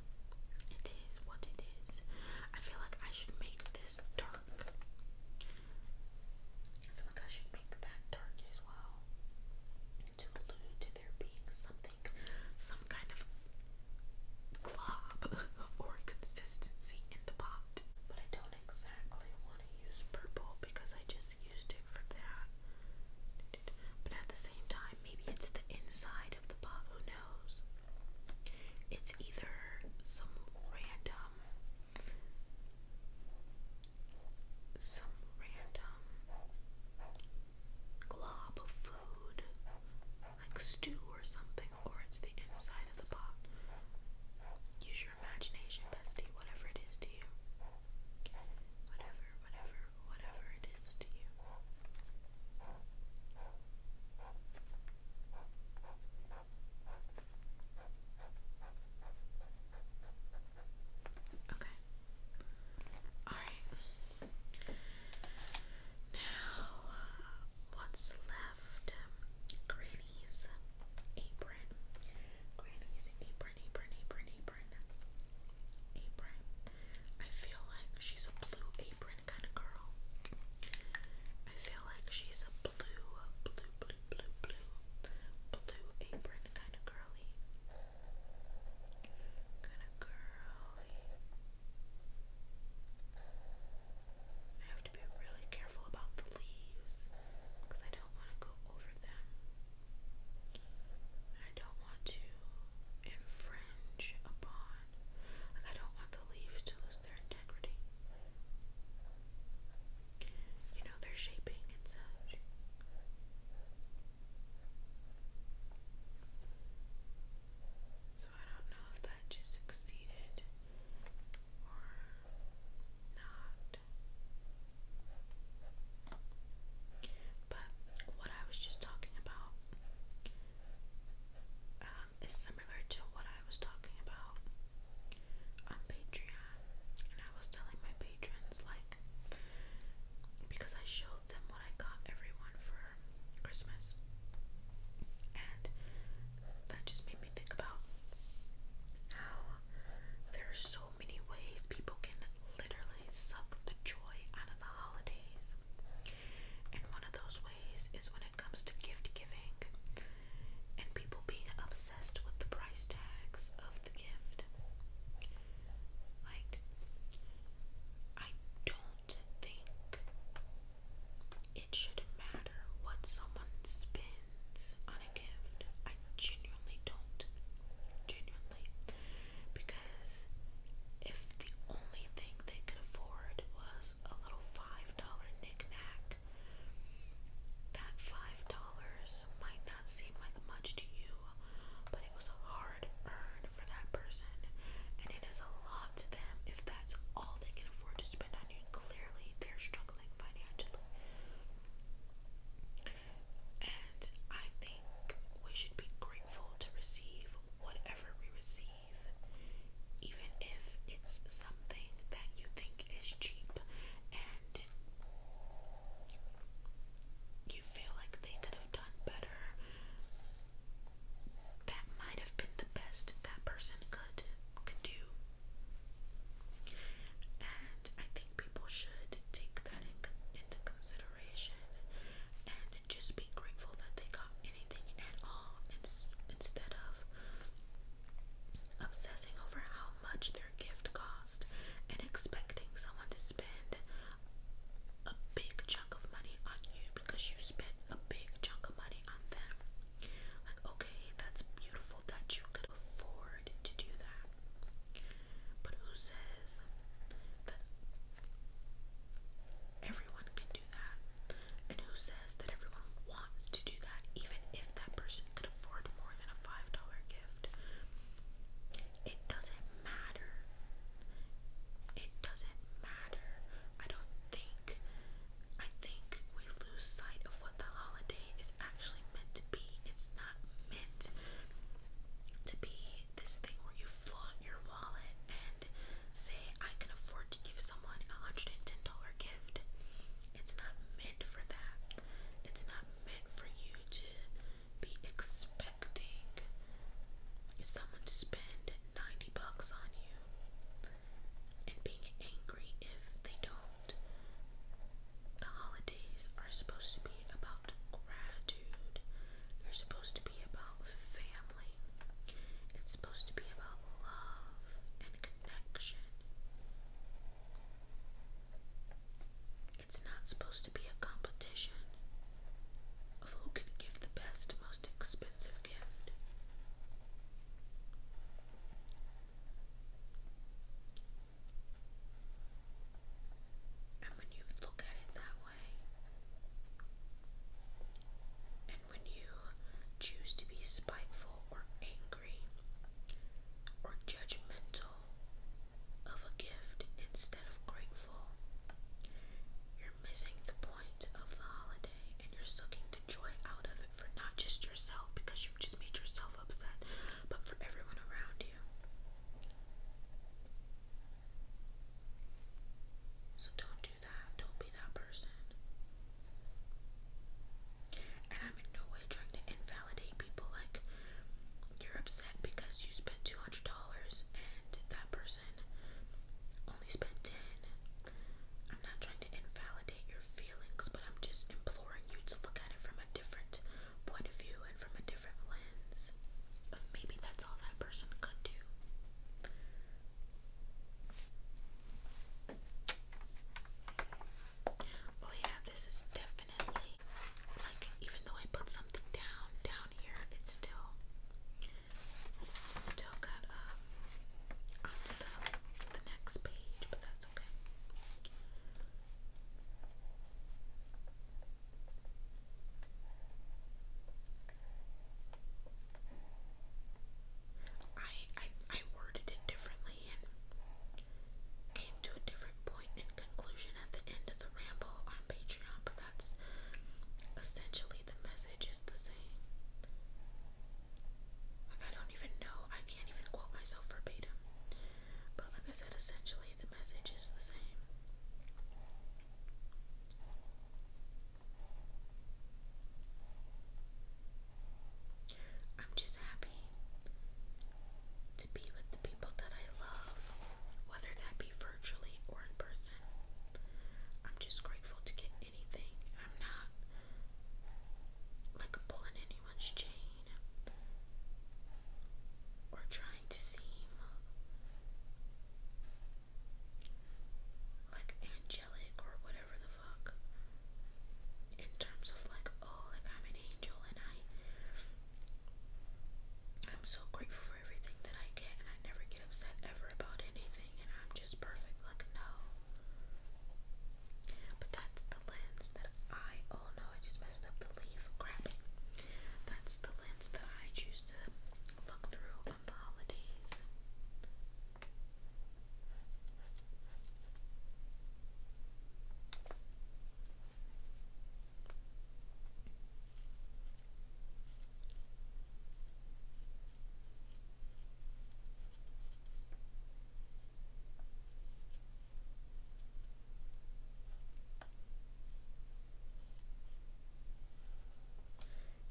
It is what it is. I feel like I should make this dark. I feel like I should make that dark as well. To allude to there being something, some kind of glob or consistency in the pot. But I don't exactly want to use purple because I just used it for that. But at the same time, maybe it's the inside of the pot, who knows? It's either some random, some random glob of food, like stew or something, or it's the inside of the pot. Use your imagination, bestie, whatever it is to you. Whatever, whatever, whatever it is to you. Okay. Alright. Now, what's left? Granny's apron. Granny's apron, apron, apron, apron. Apron. I feel like she's a blue apron kind of girl. I feel like she's a blue, blue, blue, blue, blue, blue apron kind of girly. Kind of girly. I have to be really careful about the leaves because I don't want to go over them. I don't want to infringe upon, like, I don't want the leaves to lose their integrity. You know, their shaping and such. So I don't know if that just succeeded or not. But what I was just talking about um, is similar to what I was talking about on Patreon. And I was telling my patrons, like, because I showed them what I got everyone for Christmas. And that just made me think about how there are so many ways people can literally suck the joy out of the holidays. And one of those ways is when it comes to gift giving and people being obsessed with the price tags of the gift. Like, I don't think it should matter what someone spends on a gift. I genuinely don't. Genuinely because if the only thing they could afford was a little five dollar knickknack, that five dollars might not seem like much to you, but it was hard earned for that person, and it is a lot to them if that's all they can afford to spend on you. Clearly, they're struggling financially, and I think we should be grateful to receive whatever we receive, even if it's something that you think is cheap and you feel like they could have done better. That might have been the best that person could could do. And I think people should take that into consideration and and just be grateful that they got anything at all instead of obsessing over how much their gift cost and expecting someone to spend a big chunk of money on you because you spent a big chunk of money on them. Like, okay, that's beautiful that you could afford to do that. But who says that Everyone can do that. And who says that everyone wants to do that, even if that person could afford more than a $5 gift? It doesn't matter. It doesn't matter. I don't think. I think we lose sight of what the holiday is actually meant to be. It's not meant to be this thing where you flaunt your wallet and say I can afford to give someone a hundred and ten dollar gift. It's not meant for that. It's not meant for you to be expecting someone to spend ninety bucks on you and being angry if they don't. The holidays are supposed to be about gratitude. You're supposed to to be about family. It's supposed to be about love and connection. It's not supposed to be a competition of who can give the best, most expensive gift. And when you look at it that way, and when you choose to be spiteful or angry or judgmental of a gift instead of grateful, you're missing the point of the holiday and you're sucking the joy out of it for not just yourself because you've just made yourself upset, but for everyone around you. So don't do that. Don't be that person. And I'm in no way trying to invalidate people. Like, you're upset because you spent $200 and that person only spent 10 I'm not trying to invalidate your feelings, but I'm just imploring you to look at it from a different point of view and from a different lens maybe that's all that person could do. Oh yeah, this is definitely like even though I put something down down here, it's still still got um onto the the next page, but that's okay. I, I I worded it differently and came to a different point conclusion at the end of the ramble on Patreon, but that's essentially the message is the same. Like I don't even know, I can't even quote myself verbatim. But like I said, essentially the message is the same. I'm just happy to be with the people that I love, whether that be virtually or in person. I'm just grateful to get anything. I'm not like pulling anyone's chain or trying to seem like angelic or whatever the fuck in terms of like oh like I'm an angel and I I'm so grateful for everything that I get and I never get upset ever about anything and I'm just perfect like no but that's the lens that I oh no I just messed up the leaf crap that's the lens that I choose to look through on the holidays.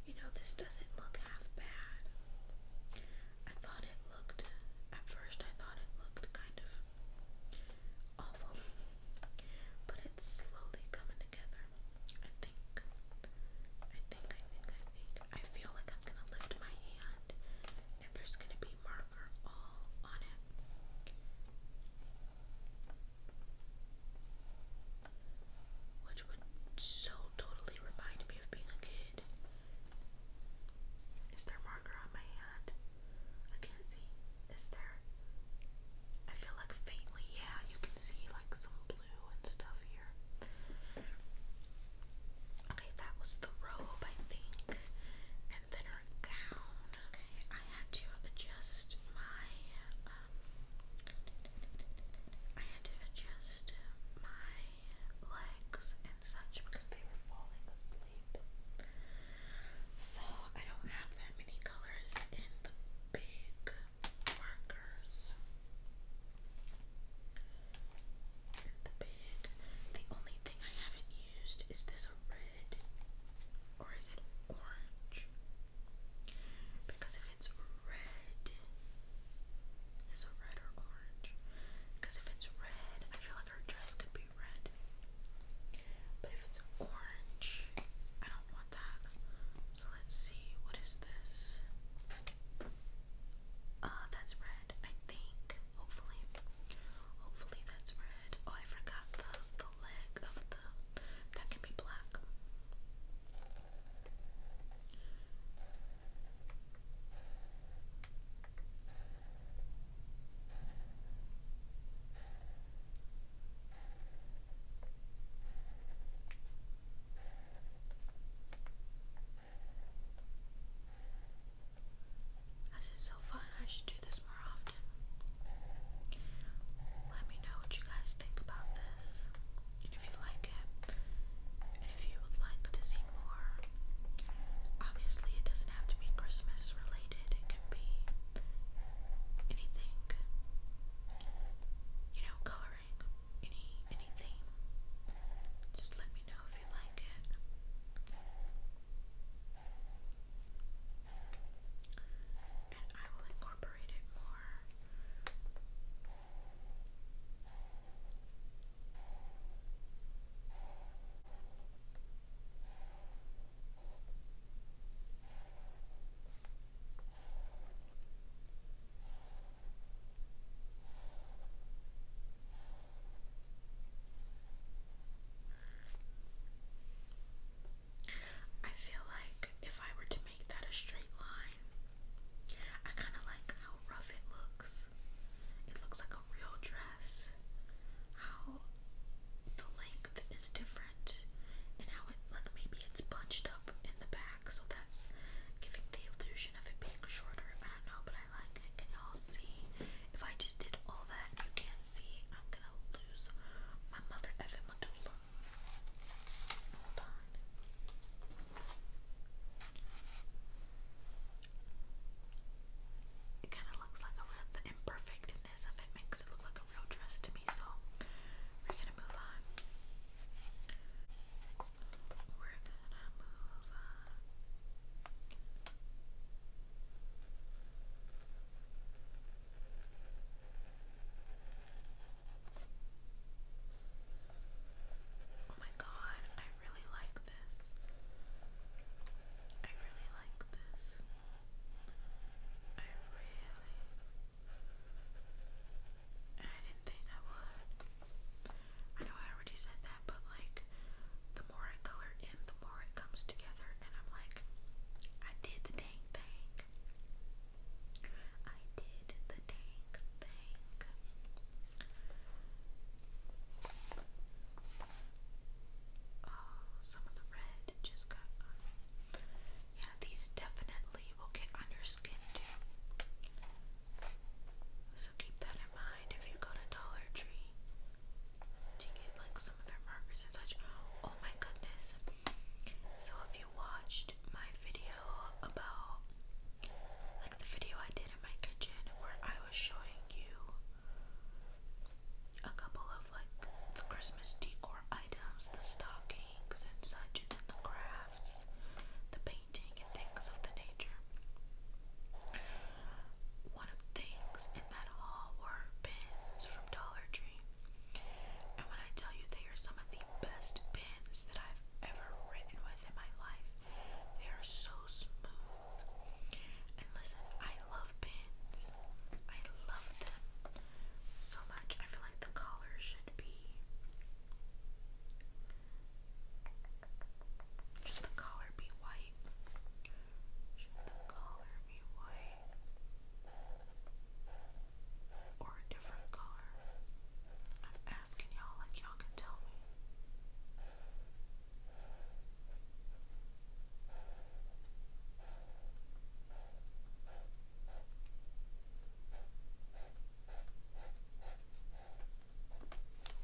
You know, this doesn't look half bad. I thought it looked, at first, I thought it looked kind of awful, but it's slowly coming together. I think, I think, I think, I think. I feel like I'm gonna lift my hand and there's gonna be marker all on it which would so totally remind me of being a kid. Is there marker on my hand? I can't see. Is there? I feel like faintly, yeah, you can see like some blue and stuff here. Okay, that was the robe, I think, and then her gown. Okay, I had to adjust my um I had to adjust my legs and such because they were falling asleep. So I don't have that many colors in the big markers. In the big, the only thing I haven't used is this red, or is it orange? Because if it's red, is this a red or orange? Because if it's red, I feel like her dress could be red. But if it's orange, I don't want that. So let's see, what is this? Uh, that's red, I think. Hopefully. Hopefully that's red. Oh, I forgot the, the leg of the. That can be black. This is so fun. I should do this more often. Let me know you guys guys think about this and if you like it and if you would like to see more. Obviously, it doesn't have to be Christmas related, it can be anything. You know, coloring, any anything. Just let me know if you like it and I will incorporate it more. I feel like if I were to make that a straight line, I kind of like how rough it looks. It looks like a real dress. How the length is different, and how it maybe it's bunched up in the back, so that's giving the illusion of it being shorter. I don't know, but I like Can y'all see? If I just did all that, you can't see. I'm gonna lose my mother effing medulla. Hold on. It kind of looks like a real, the imperfectness of it makes it look like a real dress to me, so we're gonna move on. We're gonna move on. Oh my god, I really like this. I really like this. I really. And I didn't think I would. I know I already said that, but like, the more I color in, the more it comes together, and I'm like, I did the dang thing. I did the tank thing. Oh, some of the red just got Yeah, these definitely will get on your skin too. So keep that in mind if you go to Dollar Tree to get like some of their markers and such. Oh my goodness. So if you watch my video about like the video I did in my kitchen where I was showing you a couple of like the Christmas decor items, the stockings and such, and then the crafts, the painting and things of the nature. One of things in that haul were pins from Dollar Tree. And when I tell you they are some of the best pens that I've ever written with in my life, they are so smooth. And listen, I love pens. I love them so much. I feel like the collar should be should the collar be white? Should the collar be white? or a different color? I'm asking y'all like y'all can tell me.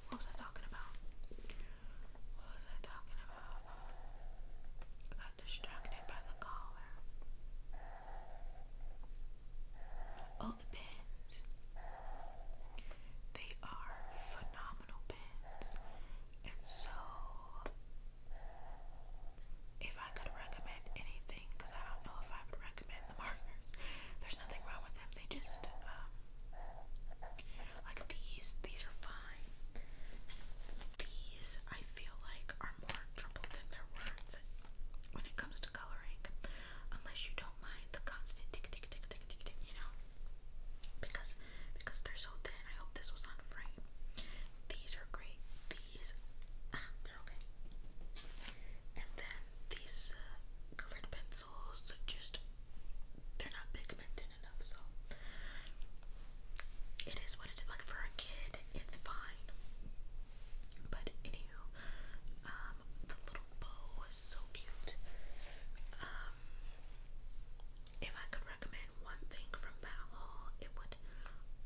What was I talking about? What was I talking about? got distracted by the collar. Oh, the pens! They are phenomenal pens, And so, if I could recommend anything, because I don't know if I would recommend the markers, there's nothing wrong with them. They just, um, like these, these are fine. These, I feel like, are more trouble than they're worth when it comes to to coloring unless you don't mind the constant tick tick tick tick tick tick you know because because they're so thin I hope this was on frame these are great these uh, they're okay and then these uh, colored pencils just they're not pigmented enough so it is what it is like for a kid it's fine but anywho um, the little bow was so cute. Um, if I could recommend one thing from that haul, it would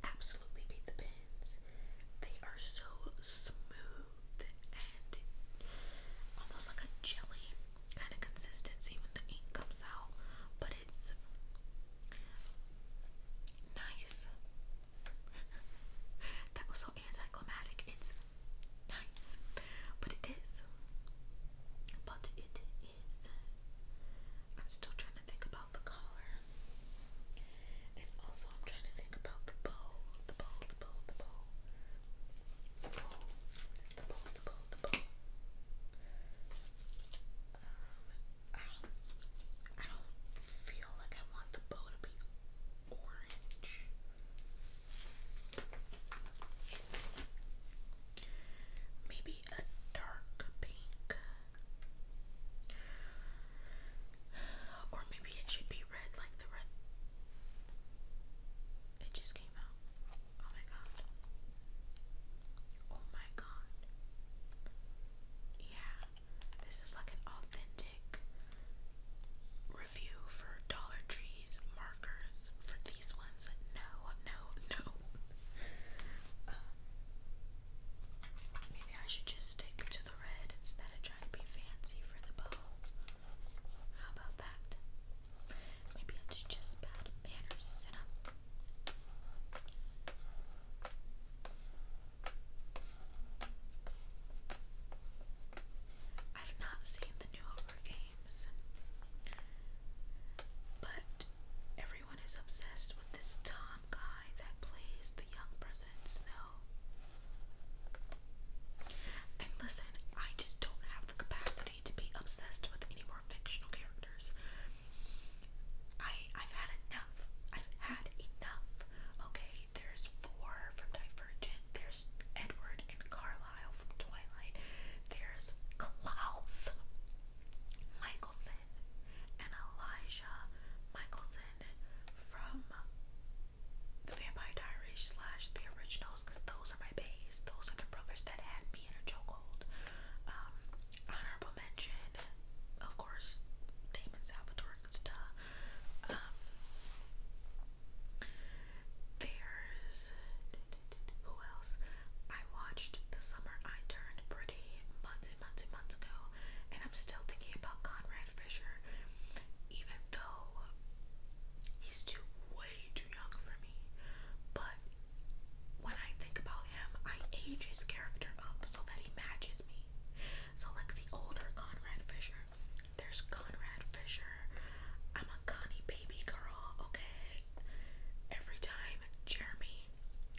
absolutely be the pins. They are so smooth and almost like a jelly kind of consistency when the ink comes out, but it's nice that was so anticlimactic. It's nice, but it is. But it is. I'm still trying to think about the collar. And also, I'm trying to think about the bow. The bow, the bow, the bow. The bow, the bow, the bow, the bow. Um, I don't, I don't feel like I want the bow to be orange. Maybe a dark pink. Or maybe it should be red like the red. It just came out. Oh my god. Oh my god. Yeah. This is like an authentic review for Dollar Tree's markers. For these ones, no, no, no. Um, maybe I should just stick to the red instead of trying to be fancy for the bow. How about that? Maybe I should just bad manners sit I've not seen the newer games, but everyone is obsessed with this Tom guy that plays the young President Snow. And listen, I just don't have the capacity to be obsessed with any more fictional characters. I I've had enough. I've had enough. Okay, there's four from Divergent, there's Edward and Carlisle from Twilight, there's Klaus Michelson and Elijah Michelson from the Vampire Diaries slash the originals because those are my base. Those are the brothers that had me in a chokehold. Um, honorable mention, of course, Damon Salvatore and stuff. Um, there's who else? I watched The Summer I Turned Pretty months and months and months ago, and I'm still thinking about Conrad Fisher, even though he's too way too young for me. But when I think about him, I age his character up so that he matches me. So like the older Conrad Fisher, there's Conrad Fisher. I'm a Connie baby girl, okay? Every time Jeremy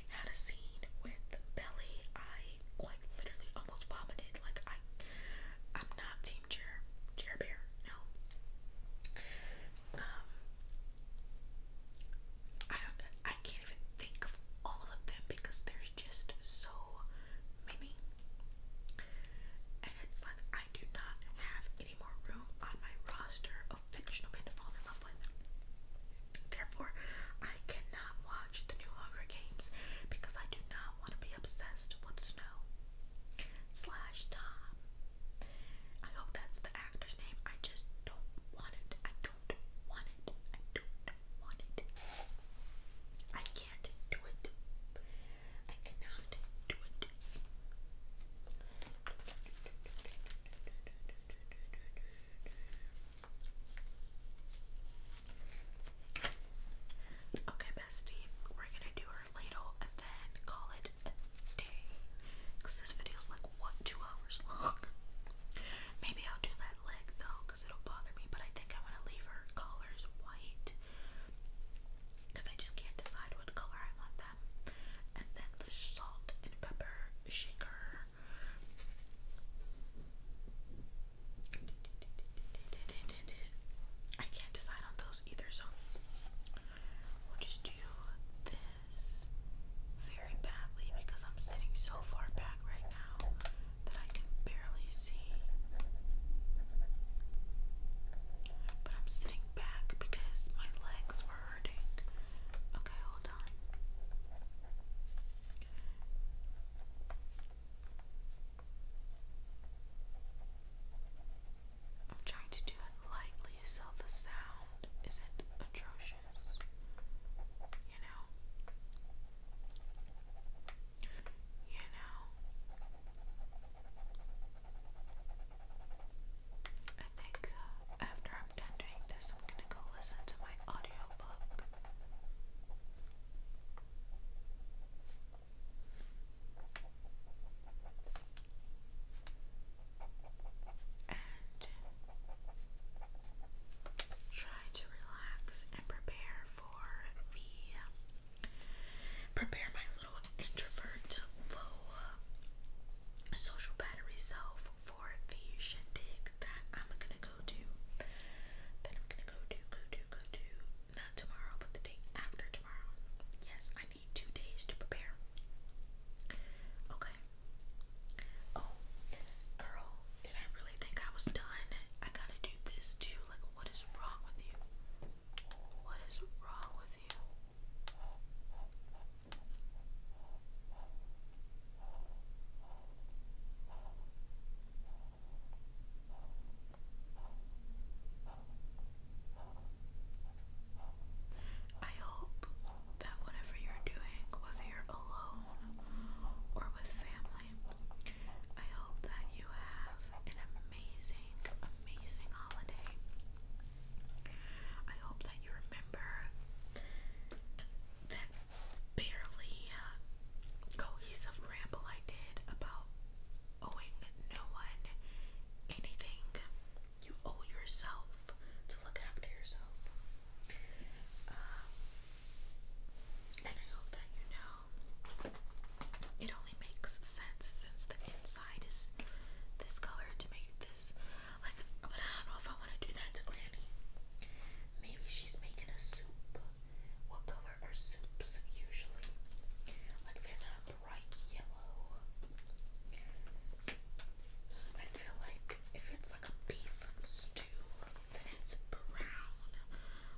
had a scene with Belly, I quite literally almost vomited. Like I I'm not team Jer Jer no. Um I don't I can't even think of all of them because they're just so many. And it's like I do not have any more room on my roster of fictional men to fall in love with. Therefore, I cannot watch the new Hunger Games because I do not want to be obsessed with Snow slash Tom. I hope that's the actor's name. I just don't want it. I do can't do it. I cannot do it. Okay, bestie, we're gonna do her ladle and then call it a day. Because this video like, what, two hours long? Maybe I'll do that leg though, because it'll bother me, but I think I want to leave her collars white because I just can't decide what color I want them. And then the salt and pepper shaker. I can't decide on those either, so we'll just do this very badly because I'm sitting so far back right now that I can barely see. But I'm sitting back because my legs were hurting. Okay, hold on. I'm trying to do it lightly so the sound isn't atrocious you know. You know. I think uh, after I'm done doing this, I'm gonna go listen to my audiobook. And try to relax and prepare for the prepare my little introvert low uh, social battery self for the shindig that I'm gonna go to. That I'm gonna go to, go to, go to. Not tomorrow, but the day after tomorrow. Yes, I need two days to prepare. Okay. Oh, girl, did I really think I was done? I gotta do this too. Like, what is wrong with you? What is wrong with you? I hope that whatever you're doing, whether you're alone or with family, family. I hope that you have an amazing, amazing holiday. I hope that you remember that barely uh, cohesive ramble I did about owing no one anything. You owe yourself to look after yourself. Um, and I hope that you know it only makes sense since the inside is this color to make this but I don't know if I want to do that to Granny. Maybe she's making a soup. What color are soups usually? Like they're not bright yellow. I feel like if it's like a beef stew, then it's brown.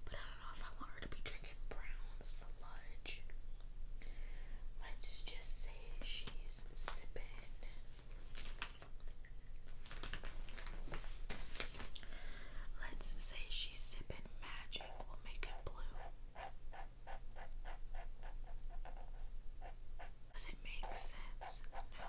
But I don't know if I want her to be drinking brown sludge. Let's just say she's sipping Let's say she's sipping magic. will make it blue. Does it make sense? No.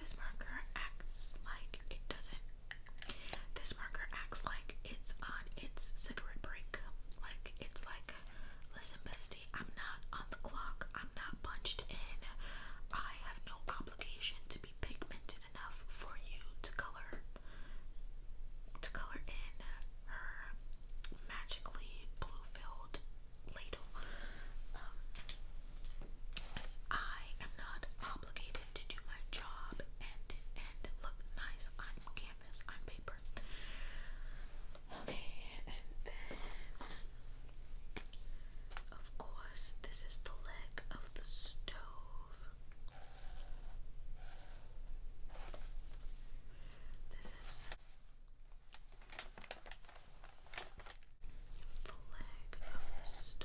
This marker acts like it doesn't. This marker acts like it's on its cigarette break. Like it's like, listen, bestie, I'm not on the clock. I'm not punched in. I have no obligation to be pigmented enough for you to color to color in her magically blue-filled ladle. Um, I am not obligated to do my job and and look nice on canvas on paper. and then of course this is the leg of the stove. This is the leg of the stove.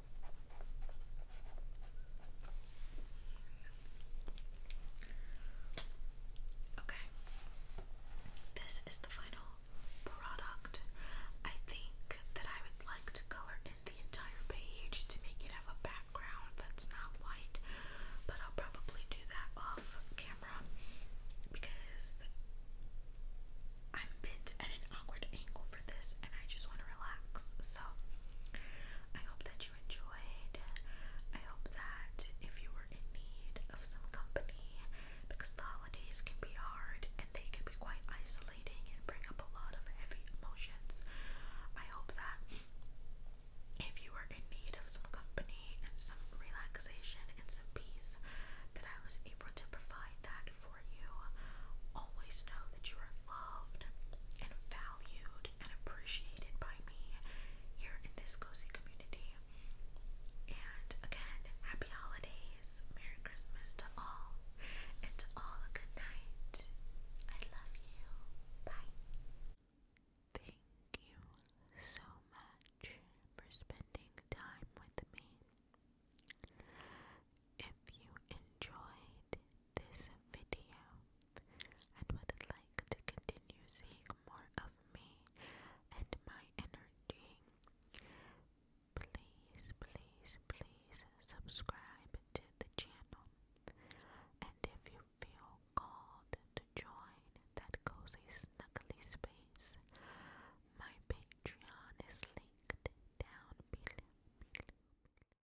Okay, this is the final product. I think that I would like to color in the entire page to make it have a background that's not white, but I'll probably do that off camera because I'm bent at an awkward angle for this and I just want to relax. So I hope that you enjoyed. I hope that if you were in need of some company, because the holidays can be hard and they can be quite isolating and bring up a lot of heavy emotions, I hope that if you were in need of some company and some relaxation and some peace, that I was able to provide that for you. Always know that you are loved and valued and appreciated by me here in this cozy community. And again, happy holidays, Merry Christmas to all, and to all a good night. I love you. Bye. Thank you so much for spending time with me. If you enjoyed this video and would like to continue seeing more of me and my energy, please, please, please subscribe to the channel. And if you feel called to join that cozy, snuggly space, my Patreon is linked down below.